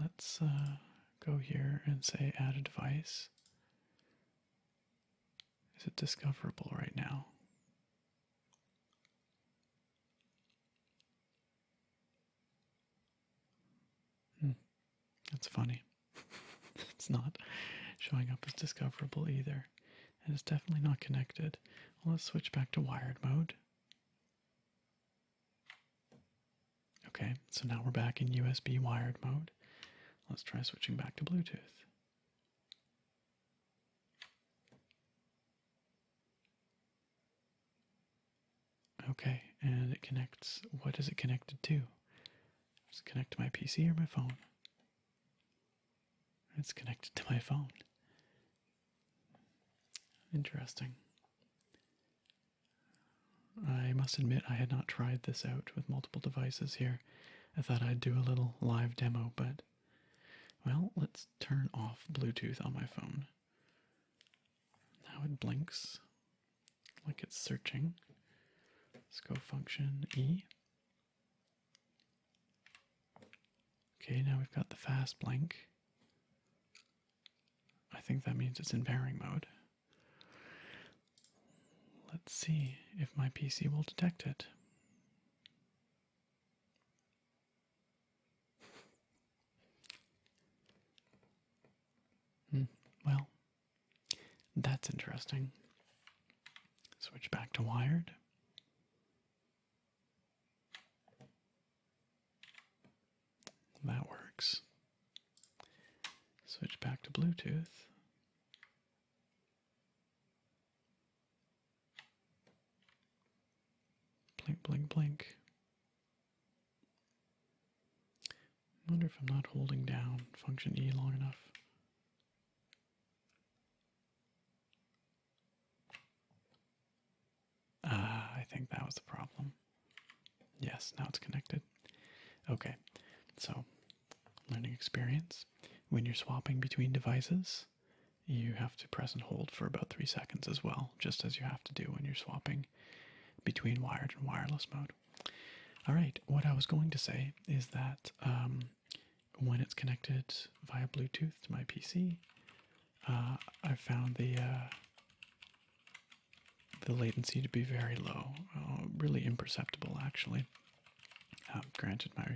let's uh, go here and say add a device. Is it discoverable right now? Hmm. That's funny. *laughs* it's not showing up as discoverable either. And it's definitely not connected. let's switch back to wired mode. Okay, so now we're back in USB wired mode. Let's try switching back to Bluetooth. Okay, and it connects. What is it connected to? Does it connect to my PC or my phone? It's connected to my phone. Interesting. I must admit, I had not tried this out with multiple devices here. I thought I'd do a little live demo, but. Well, let's turn off Bluetooth on my phone. Now it blinks like it's searching. Let's go function E. Okay, now we've got the fast blink. I think that means it's in pairing mode. Let's see if my PC will detect it. Hmm, well, that's interesting. Switch back to wired. That works. Switch back to Bluetooth. Blink, blink, blink. I wonder if I'm not holding down function E long enough. Ah, I think that was the problem. Yes, now it's connected. Okay, so learning experience. When you're swapping between devices, you have to press and hold for about three seconds as well, just as you have to do when you're swapping between wired and wireless mode. All right, what I was going to say is that um, when it's connected via Bluetooth to my PC, uh, I found the uh, the latency to be very low, uh, really imperceptible actually. Um, granted, my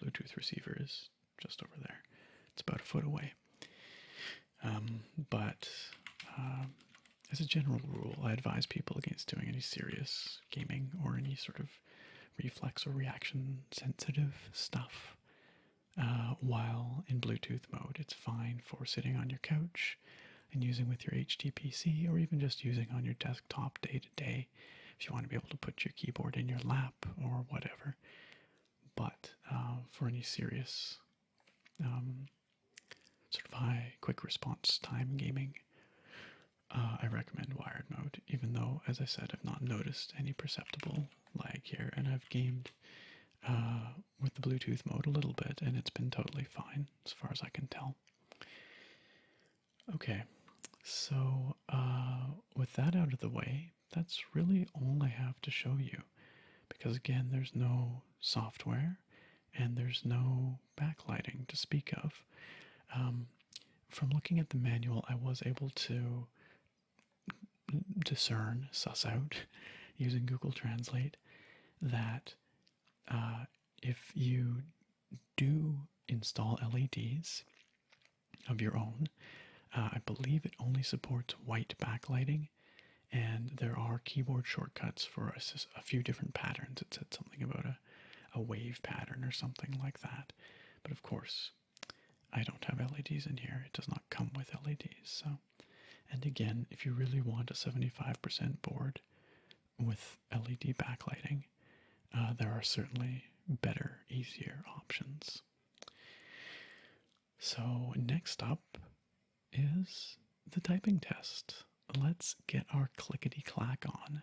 Bluetooth receiver is just over there. It's about a foot away. Um, but um, as a general rule, I advise people against doing any serious gaming or any sort of reflex or reaction sensitive stuff. Uh, while in Bluetooth mode, it's fine for sitting on your couch and using with your HTPC or even just using on your desktop day to day. If you want to be able to put your keyboard in your lap or whatever, but uh, for any serious um, sort of high quick response time gaming, uh, I recommend wired mode, even though, as I said, I've not noticed any perceptible lag here, and I've gamed uh, with the Bluetooth mode a little bit, and it's been totally fine as far as I can tell. Okay, so with that out of the way, that's really all I have to show you because, again, there's no software and there's no backlighting to speak of. Um, from looking at the manual, I was able to discern, suss out *laughs* using Google Translate that uh, if you do install LEDs of your own, uh, I believe it only supports white backlighting and there are keyboard shortcuts for a, a few different patterns. It said something about a, a wave pattern or something like that, but of course, I don't have LEDs in here. It does not come with LEDs. So, and again, if you really want a 75% board with LED backlighting, uh, there are certainly better, easier options. So, next up is the typing test. Let's get our clickety clack on.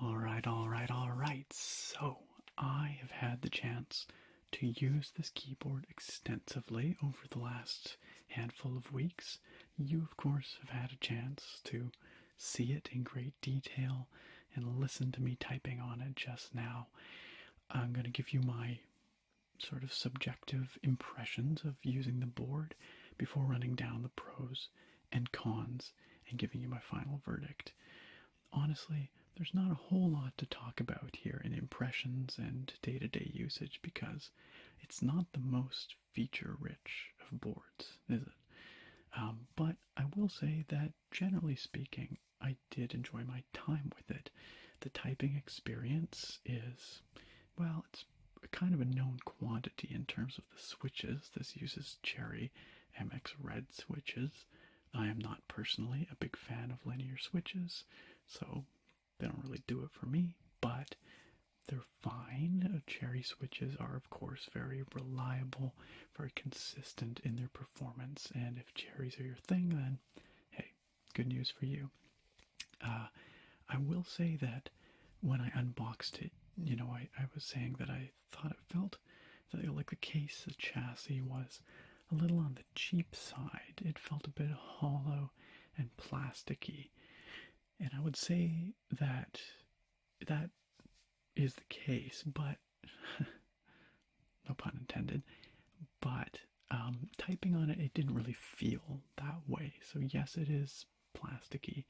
All right, all right, all right. So, I have had the chance to use this keyboard extensively over the last handful of weeks, you of course have had a chance to see it in great detail and listen to me typing on it just now. I'm going to give you my sort of subjective impressions of using the board before running down the pros and cons and giving you my final verdict. Honestly, there's not a whole lot to talk about here in impressions and day to day usage because it's not the most feature rich of boards, is it? Um, but I will say that generally speaking, I did enjoy my time with it. The typing experience is, well, it's kind of a known quantity in terms of the switches. This uses Cherry MX Red switches. I am not personally a big fan of linear switches, so they don't really do it for me, but they're fine. Uh, cherry switches are, of course, very reliable, very consistent in their performance. And if cherries are your thing, then hey, good news for you. Uh, I will say that when I unboxed it, you know, I, I was saying that I thought it felt that, like the case, the chassis was a little on the the cheap side. It felt a bit hollow and plasticky. And I would say that that is the case, but *laughs* no pun intended. But um, typing on it, it didn't really feel that way. So, yes, it is plasticky,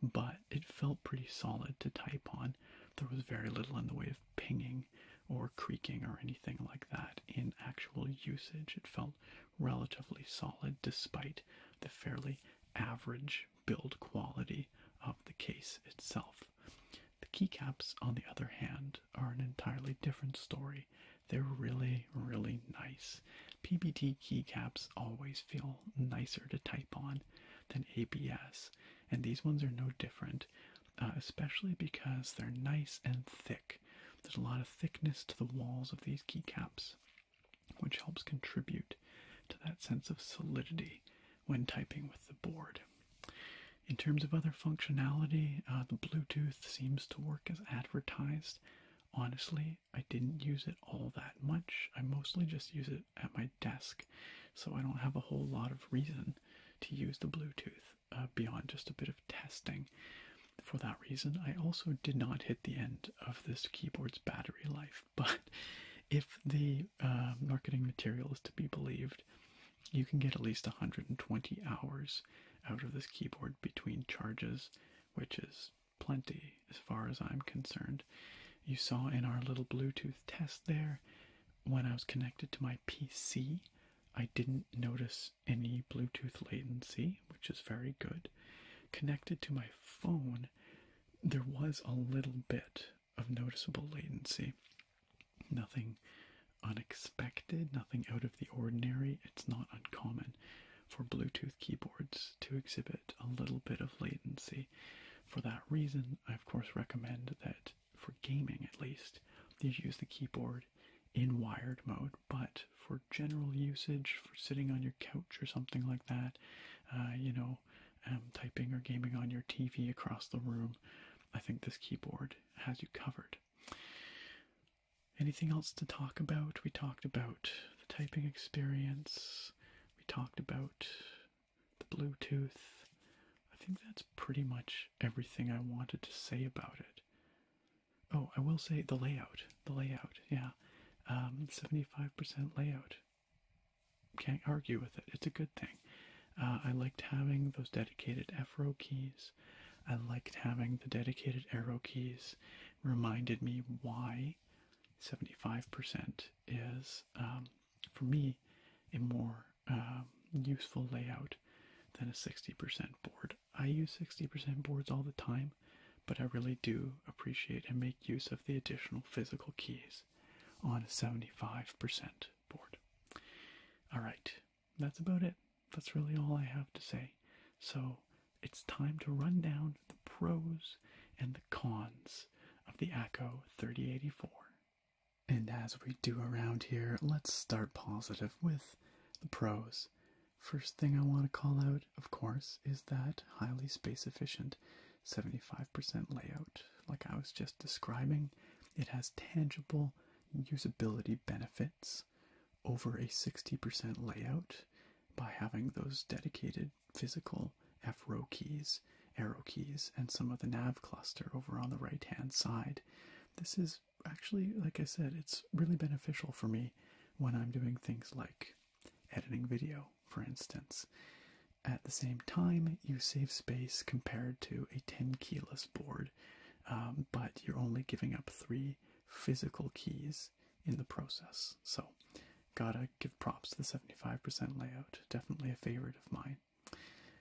but it felt pretty solid to type on. There was very little in the way of pinging or creaking or anything like that in actual usage. It felt relatively solid despite the fairly average build quality of the case itself. The keycaps, on the other hand, are an entirely different story. They're really, really nice. PBT keycaps always feel nicer to type on than ABS, and these ones are no different, uh, especially because they're nice and thick. There's a lot of thickness to the walls of these keycaps, which helps contribute to that sense of solidity when typing with the board. In terms of other functionality, uh, the Bluetooth seems to work as advertised. Honestly, I didn't use it all that much. I mostly just use it at my desk, so I don't have a whole lot of reason to use the Bluetooth. Uh, beyond just a bit of testing. For that reason, I also did not hit the end of this keyboard's battery life. *laughs* But if the uh, marketing material is to be believed, you can get at least 120 hours out of this keyboard between charges, which is plenty as far as I'm concerned. You saw in our little Bluetooth test there, when I was connected to my PC, I didn't notice any Bluetooth latency, which is very good. Connected to my phone, there was a little bit of noticeable latency. Nothing unexpected, nothing out of the ordinary. It's not uncommon for Bluetooth keyboards to exhibit a little bit of latency. For that reason, I of course recommend that for gaming at least, you use the keyboard in wired mode but for general usage, for sitting on your couch or something like that, uh, you know, um, typing or gaming on your TV across the room, I think this keyboard has you covered. Anything else to talk about? We talked about the typing experience, we talked about the Bluetooth. I think that's pretty much everything I wanted to say about it. Oh, I will say the layout. The layout, yeah. 75% um, layout. Can't argue with it. It's a good thing. Uh, I liked having those dedicated F row keys. I liked having the dedicated arrow keys. Reminded me why 75% is, um, for me, a more um, useful layout than a 60% board. I use 60% boards all the time, but I really do appreciate and make use of the additional physical keys on a 75% board. Alright, that's about it. That's really all I have to say. So it's time to run down the pros and the cons of the ACO 3084. And as we do around here, let's start positive with the pros First thing I want to call out, of course, is that highly space efficient 75% layout, like I was just describing. It has tangible usability benefits over a 60% layout by having those dedicated physical F row keys, arrow keys, and some of the nav cluster over on the right hand side. This is actually, like I said, it's really beneficial for me when I'm doing things like editing video, for instance. At the same time, you save space compared to a 10 keyless board, um, but you're only giving up three physical keys in the process. So, gotta give props to the 75% layout, definitely a favorite of mine.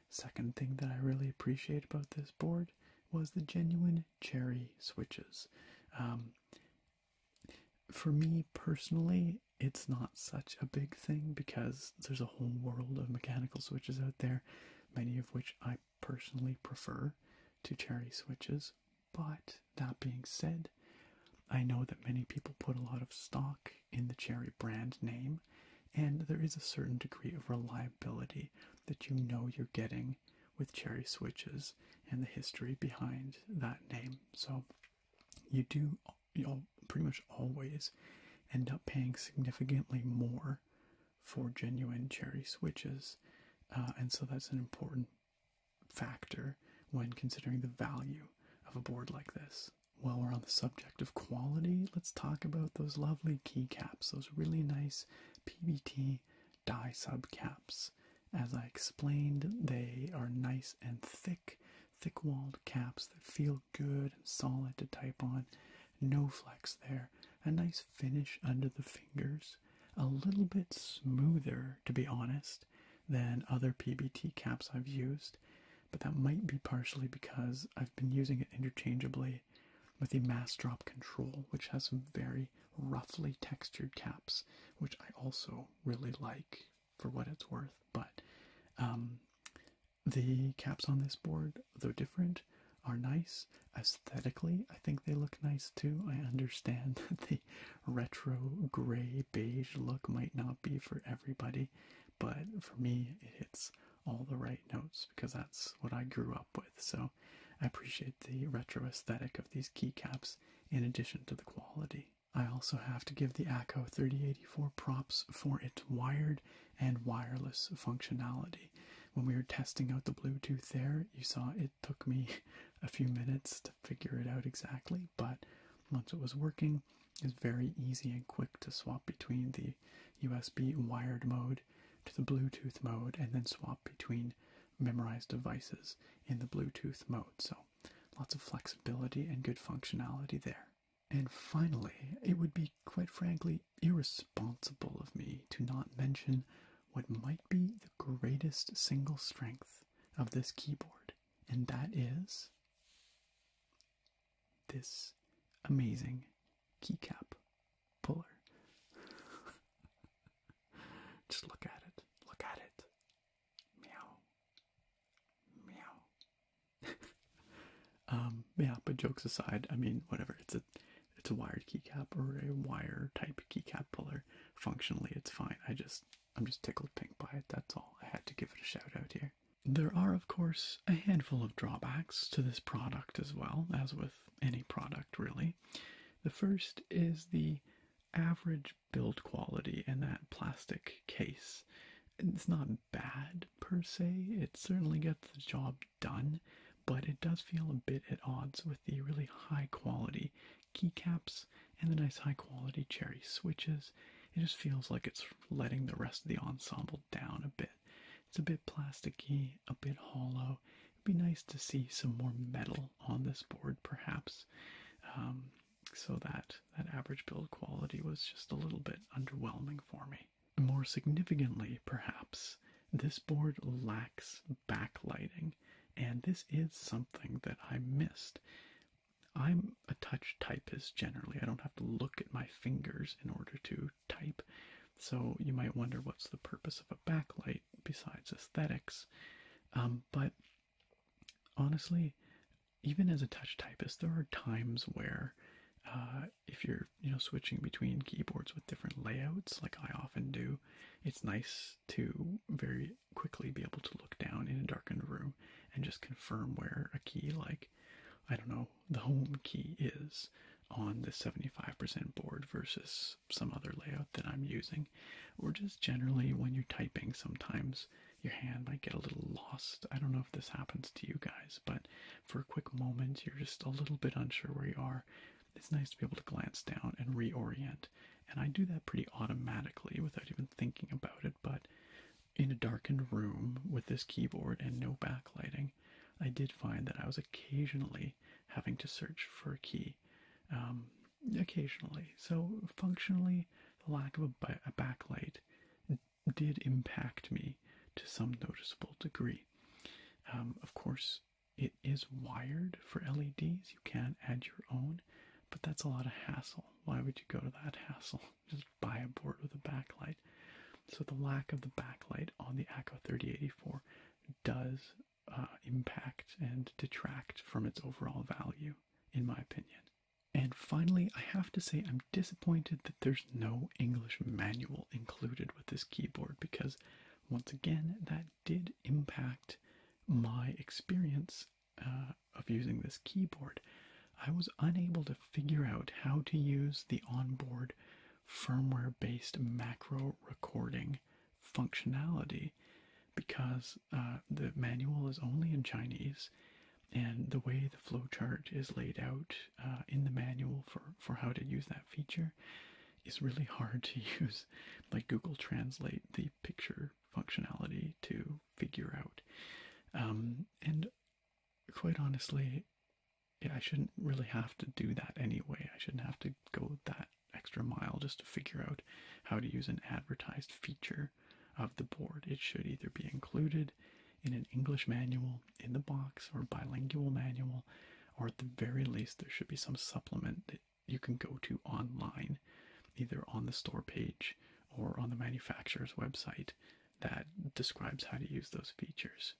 Second thing that I really appreciate about this board was the genuine cherry switches. Um, for me personally, it's not such a big thing because there's a whole world of mechanical switches out there, many of which I personally prefer to cherry switches. But that being said, I know that many people put a lot of stock in the cherry brand name, and there is a certain degree of reliability that you know you're getting with Cherry Switches and the history behind that name. So you do you'll pretty much always end up paying significantly more for genuine Cherry Switches, uh, and so that's an important factor when considering the value of a board like this. While we're on the subject of quality, let's talk about those lovely keycaps, those really nice PBT die sub caps, As I explained, they are nice and thick, thick walled caps that feel good and solid to type on. No flex there, a nice finish under the fingers, a little bit smoother to be honest than other PBT caps I've used, but that might be partially because I've been using it interchangeably with the mass drop control, which has some very roughly textured caps, which I also really like for what it's worth. But um, the caps on this board, though different, are nice aesthetically. I think they look nice too. I understand *laughs* that the retro gray beige look might not be for everybody, but for me, it hits all the right notes because that's what I grew up with. So I appreciate the retro aesthetic of these keycaps in addition to the quality. I also have to give the ACO 3084 props for its wired and wireless functionality. When we were testing out the Bluetooth there, you saw it took me *laughs* a few minutes to figure it out exactly, but once it was working, it's very easy and quick to swap between the USB wired mode to the Bluetooth mode and then swap between Memorized devices in the Bluetooth mode. So, lots of flexibility and good functionality there. And finally, it would be quite frankly irresponsible of me to not mention what might be the greatest single strength of this keyboard, and that is this amazing keycap puller. *laughs* Just look at it. Look at it. Meow. Meow. *laughs* um, yeah, but jokes aside, I mean whatever, it's a it's a wired keycap or a wire type keycap puller. Functionally it's fine. I just I'm just tickled pink by it, that's all. I had to give it a shout out here. There are, of course, a handful of drawbacks to this product as well, as with any product really. The first is the average build quality in that plastic case. It's not bad per se, it certainly gets the job done, but it does feel a bit at odds with the really high quality keycaps and the nice high quality cherry switches. It just feels like it's letting the rest of the ensemble down a bit. It's a bit plasticky, a bit hollow, be nice to see some more metal on this board, perhaps, um, so that that average build quality was just a little bit underwhelming for me. More significantly, perhaps, this board lacks backlighting, and this is something that I missed. I'm a touch typist generally. I don't have to look at my fingers in order to type. So you might wonder what's the purpose of a backlight besides aesthetics. Um, but honestly, even as a touch typist, there are times where uh, if you're you know switching between keyboards with different layouts, like I often do, it's nice to very quickly be able to look down in a darkened room and just confirm where a key like I don't know the home key is on the 75% board versus some other layout that I'm using, or just generally when you're typing, sometimes your hand might get a little lost. I don't know if this happens to you guys, but for a quick moment, you're just a little bit unsure where you are. It's nice to be able to glance down and reorient, and I do that pretty automatically without even thinking about it. But in a darkened room with this keyboard and no backlighting, I did find that I was occasionally having to search for a key um, occasionally. So, functionally, the lack of a, backlight did impact me to some noticeable degree. Um, of course, it is wired for LEDs. You can add your own, but that's a lot of hassle. Why would you go to that hassle? *laughs* Just buy a board with a backlight. So the lack of the backlight on the ACO 3084 does uh, impact and detract from its overall value, in my opinion. And finally, I have to say I'm disappointed that there's no English manual included with this keyboard because, once again, that did impact my experience uh, of using this keyboard. I was unable to figure out how to use the onboard firmware based macro recording functionality because uh, the manual is only in Chinese, and the way the flowchart is laid out uh, in the manual for, for how to use that feature is really hard to *laughs* use. Like Google Translate the picture functionality to figure out. Um, and quite honestly, yeah, I shouldn't really have to do that anyway. I shouldn't have to go that extra mile just to figure out how to use an advertised feature of the board. It should either be included in an English manual, in the box, or bilingual manual, or at the very least, there should be some supplement that you can go to online, either on the store page or on the manufacturer's website that describes how to use those features.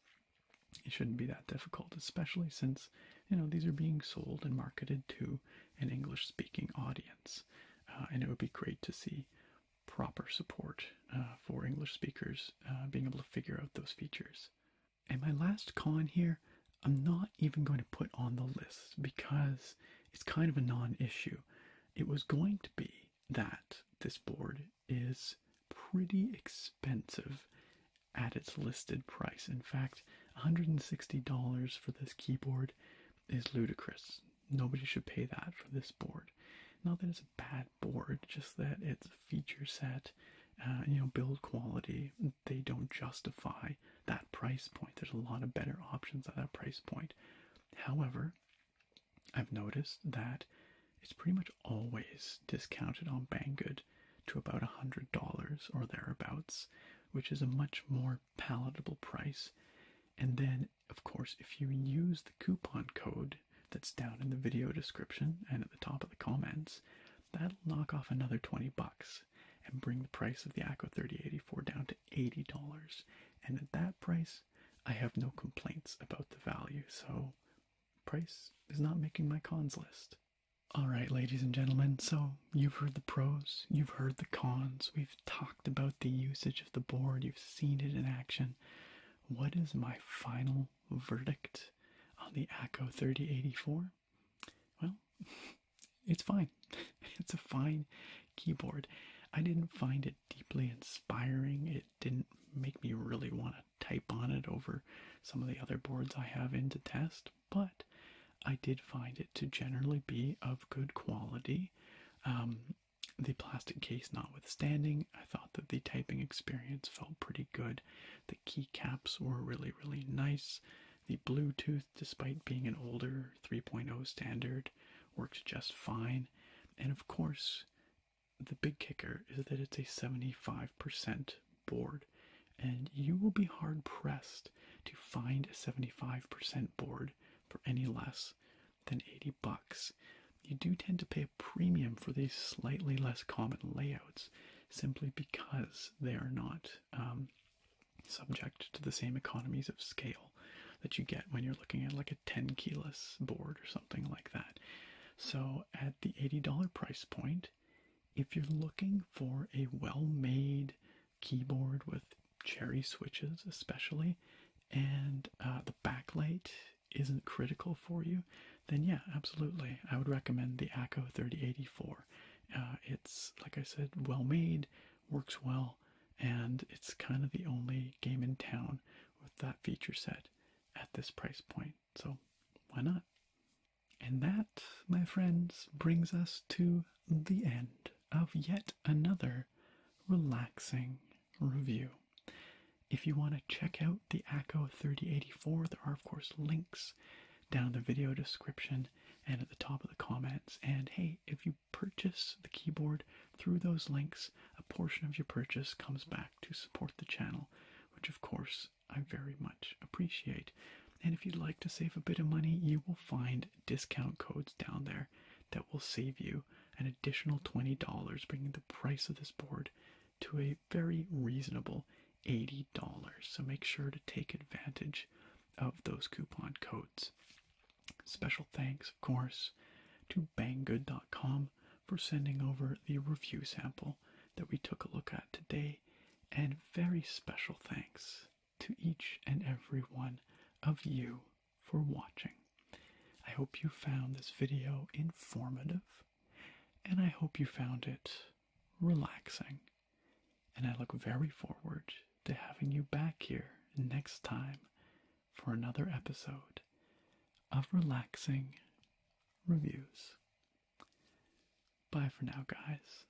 It shouldn't be that difficult, especially since, you know, these are being sold and marketed to an English speaking audience. Uh, and it would be great to see proper support uh, for English speakers uh, being able to figure out those features. And my last con here, I'm not even going to put on the list because it's kind of a non issue. It was going to be that this board is pretty expensive at its listed price. In fact, $160 for this keyboard is ludicrous. Nobody should pay that for this board. Not that it's a bad board, just that its feature set, uh, you know, build quality, they don't justify that price point. There's a lot of better options at that price point. However, I've noticed that it's pretty much always discounted on Banggood to about a $100 or thereabouts, which is a much more palatable price. And then, of course, if you use the coupon code that's down in the video description and at the top of the comments, that'll knock off another 20 bucks and bring the price of the ACO 3084 down to $80. And at that price, I have no complaints about the value, so price is not making my cons list. Alright, ladies and gentlemen, so You've heard the pros, you've heard the cons, we've talked about the usage of the board, you've seen it in action. What is my final verdict on the ACO 3084? Well, *laughs* it's fine. *laughs* It's a fine keyboard. I didn't find it deeply inspiring. It didn't make me really want to type on it over some of the other boards I have in to test but I did find it to generally be of good quality. Um, the plastic case notwithstanding, I thought that the typing experience felt pretty good. The keycaps were really, really nice. The Bluetooth, despite being an older 3.0 standard, worked just fine. And of course, the big kicker is that it's a 75% board, and you will be hard pressed to find a 75% board for any less than 80 bucks. You do tend to pay a premium for these slightly less common layouts simply because they are not um, subject to the same economies of scale that you get when you're looking at like a 10 keyless board or something like that. So at the $80 price point, if you're looking for a well made keyboard with cherry switches, especially, and uh, the backlight isn't critical for you, then yeah, absolutely, I would recommend the Acco 3084. Uh, it's like I said, well made, works well, and it's kind of the only game in town with that feature set at this price point. So why not? And that, my friends, brings us to the end of yet another relaxing review. If you want to check out the ACO 3084, there are, of course, links down the video description and at the top of the comments. And hey, if you purchase the keyboard through those links, a portion of your purchase comes back to support the channel, which, of course, I very much appreciate. And if you'd like to save a bit of money, you will find discount codes down there that will save you an additional $20, bringing the price of this board to a very reasonable $80. So make sure to take advantage of those coupon codes. Special thanks, of course, to banggood.com for sending over the review sample that we took a look at today, and very special thanks to each and every one of you for watching. I hope you found this video informative, and I hope you found it relaxing. And I look very forward to having you back here next time for another episode of Relaxing Reviews. Bye for now, guys.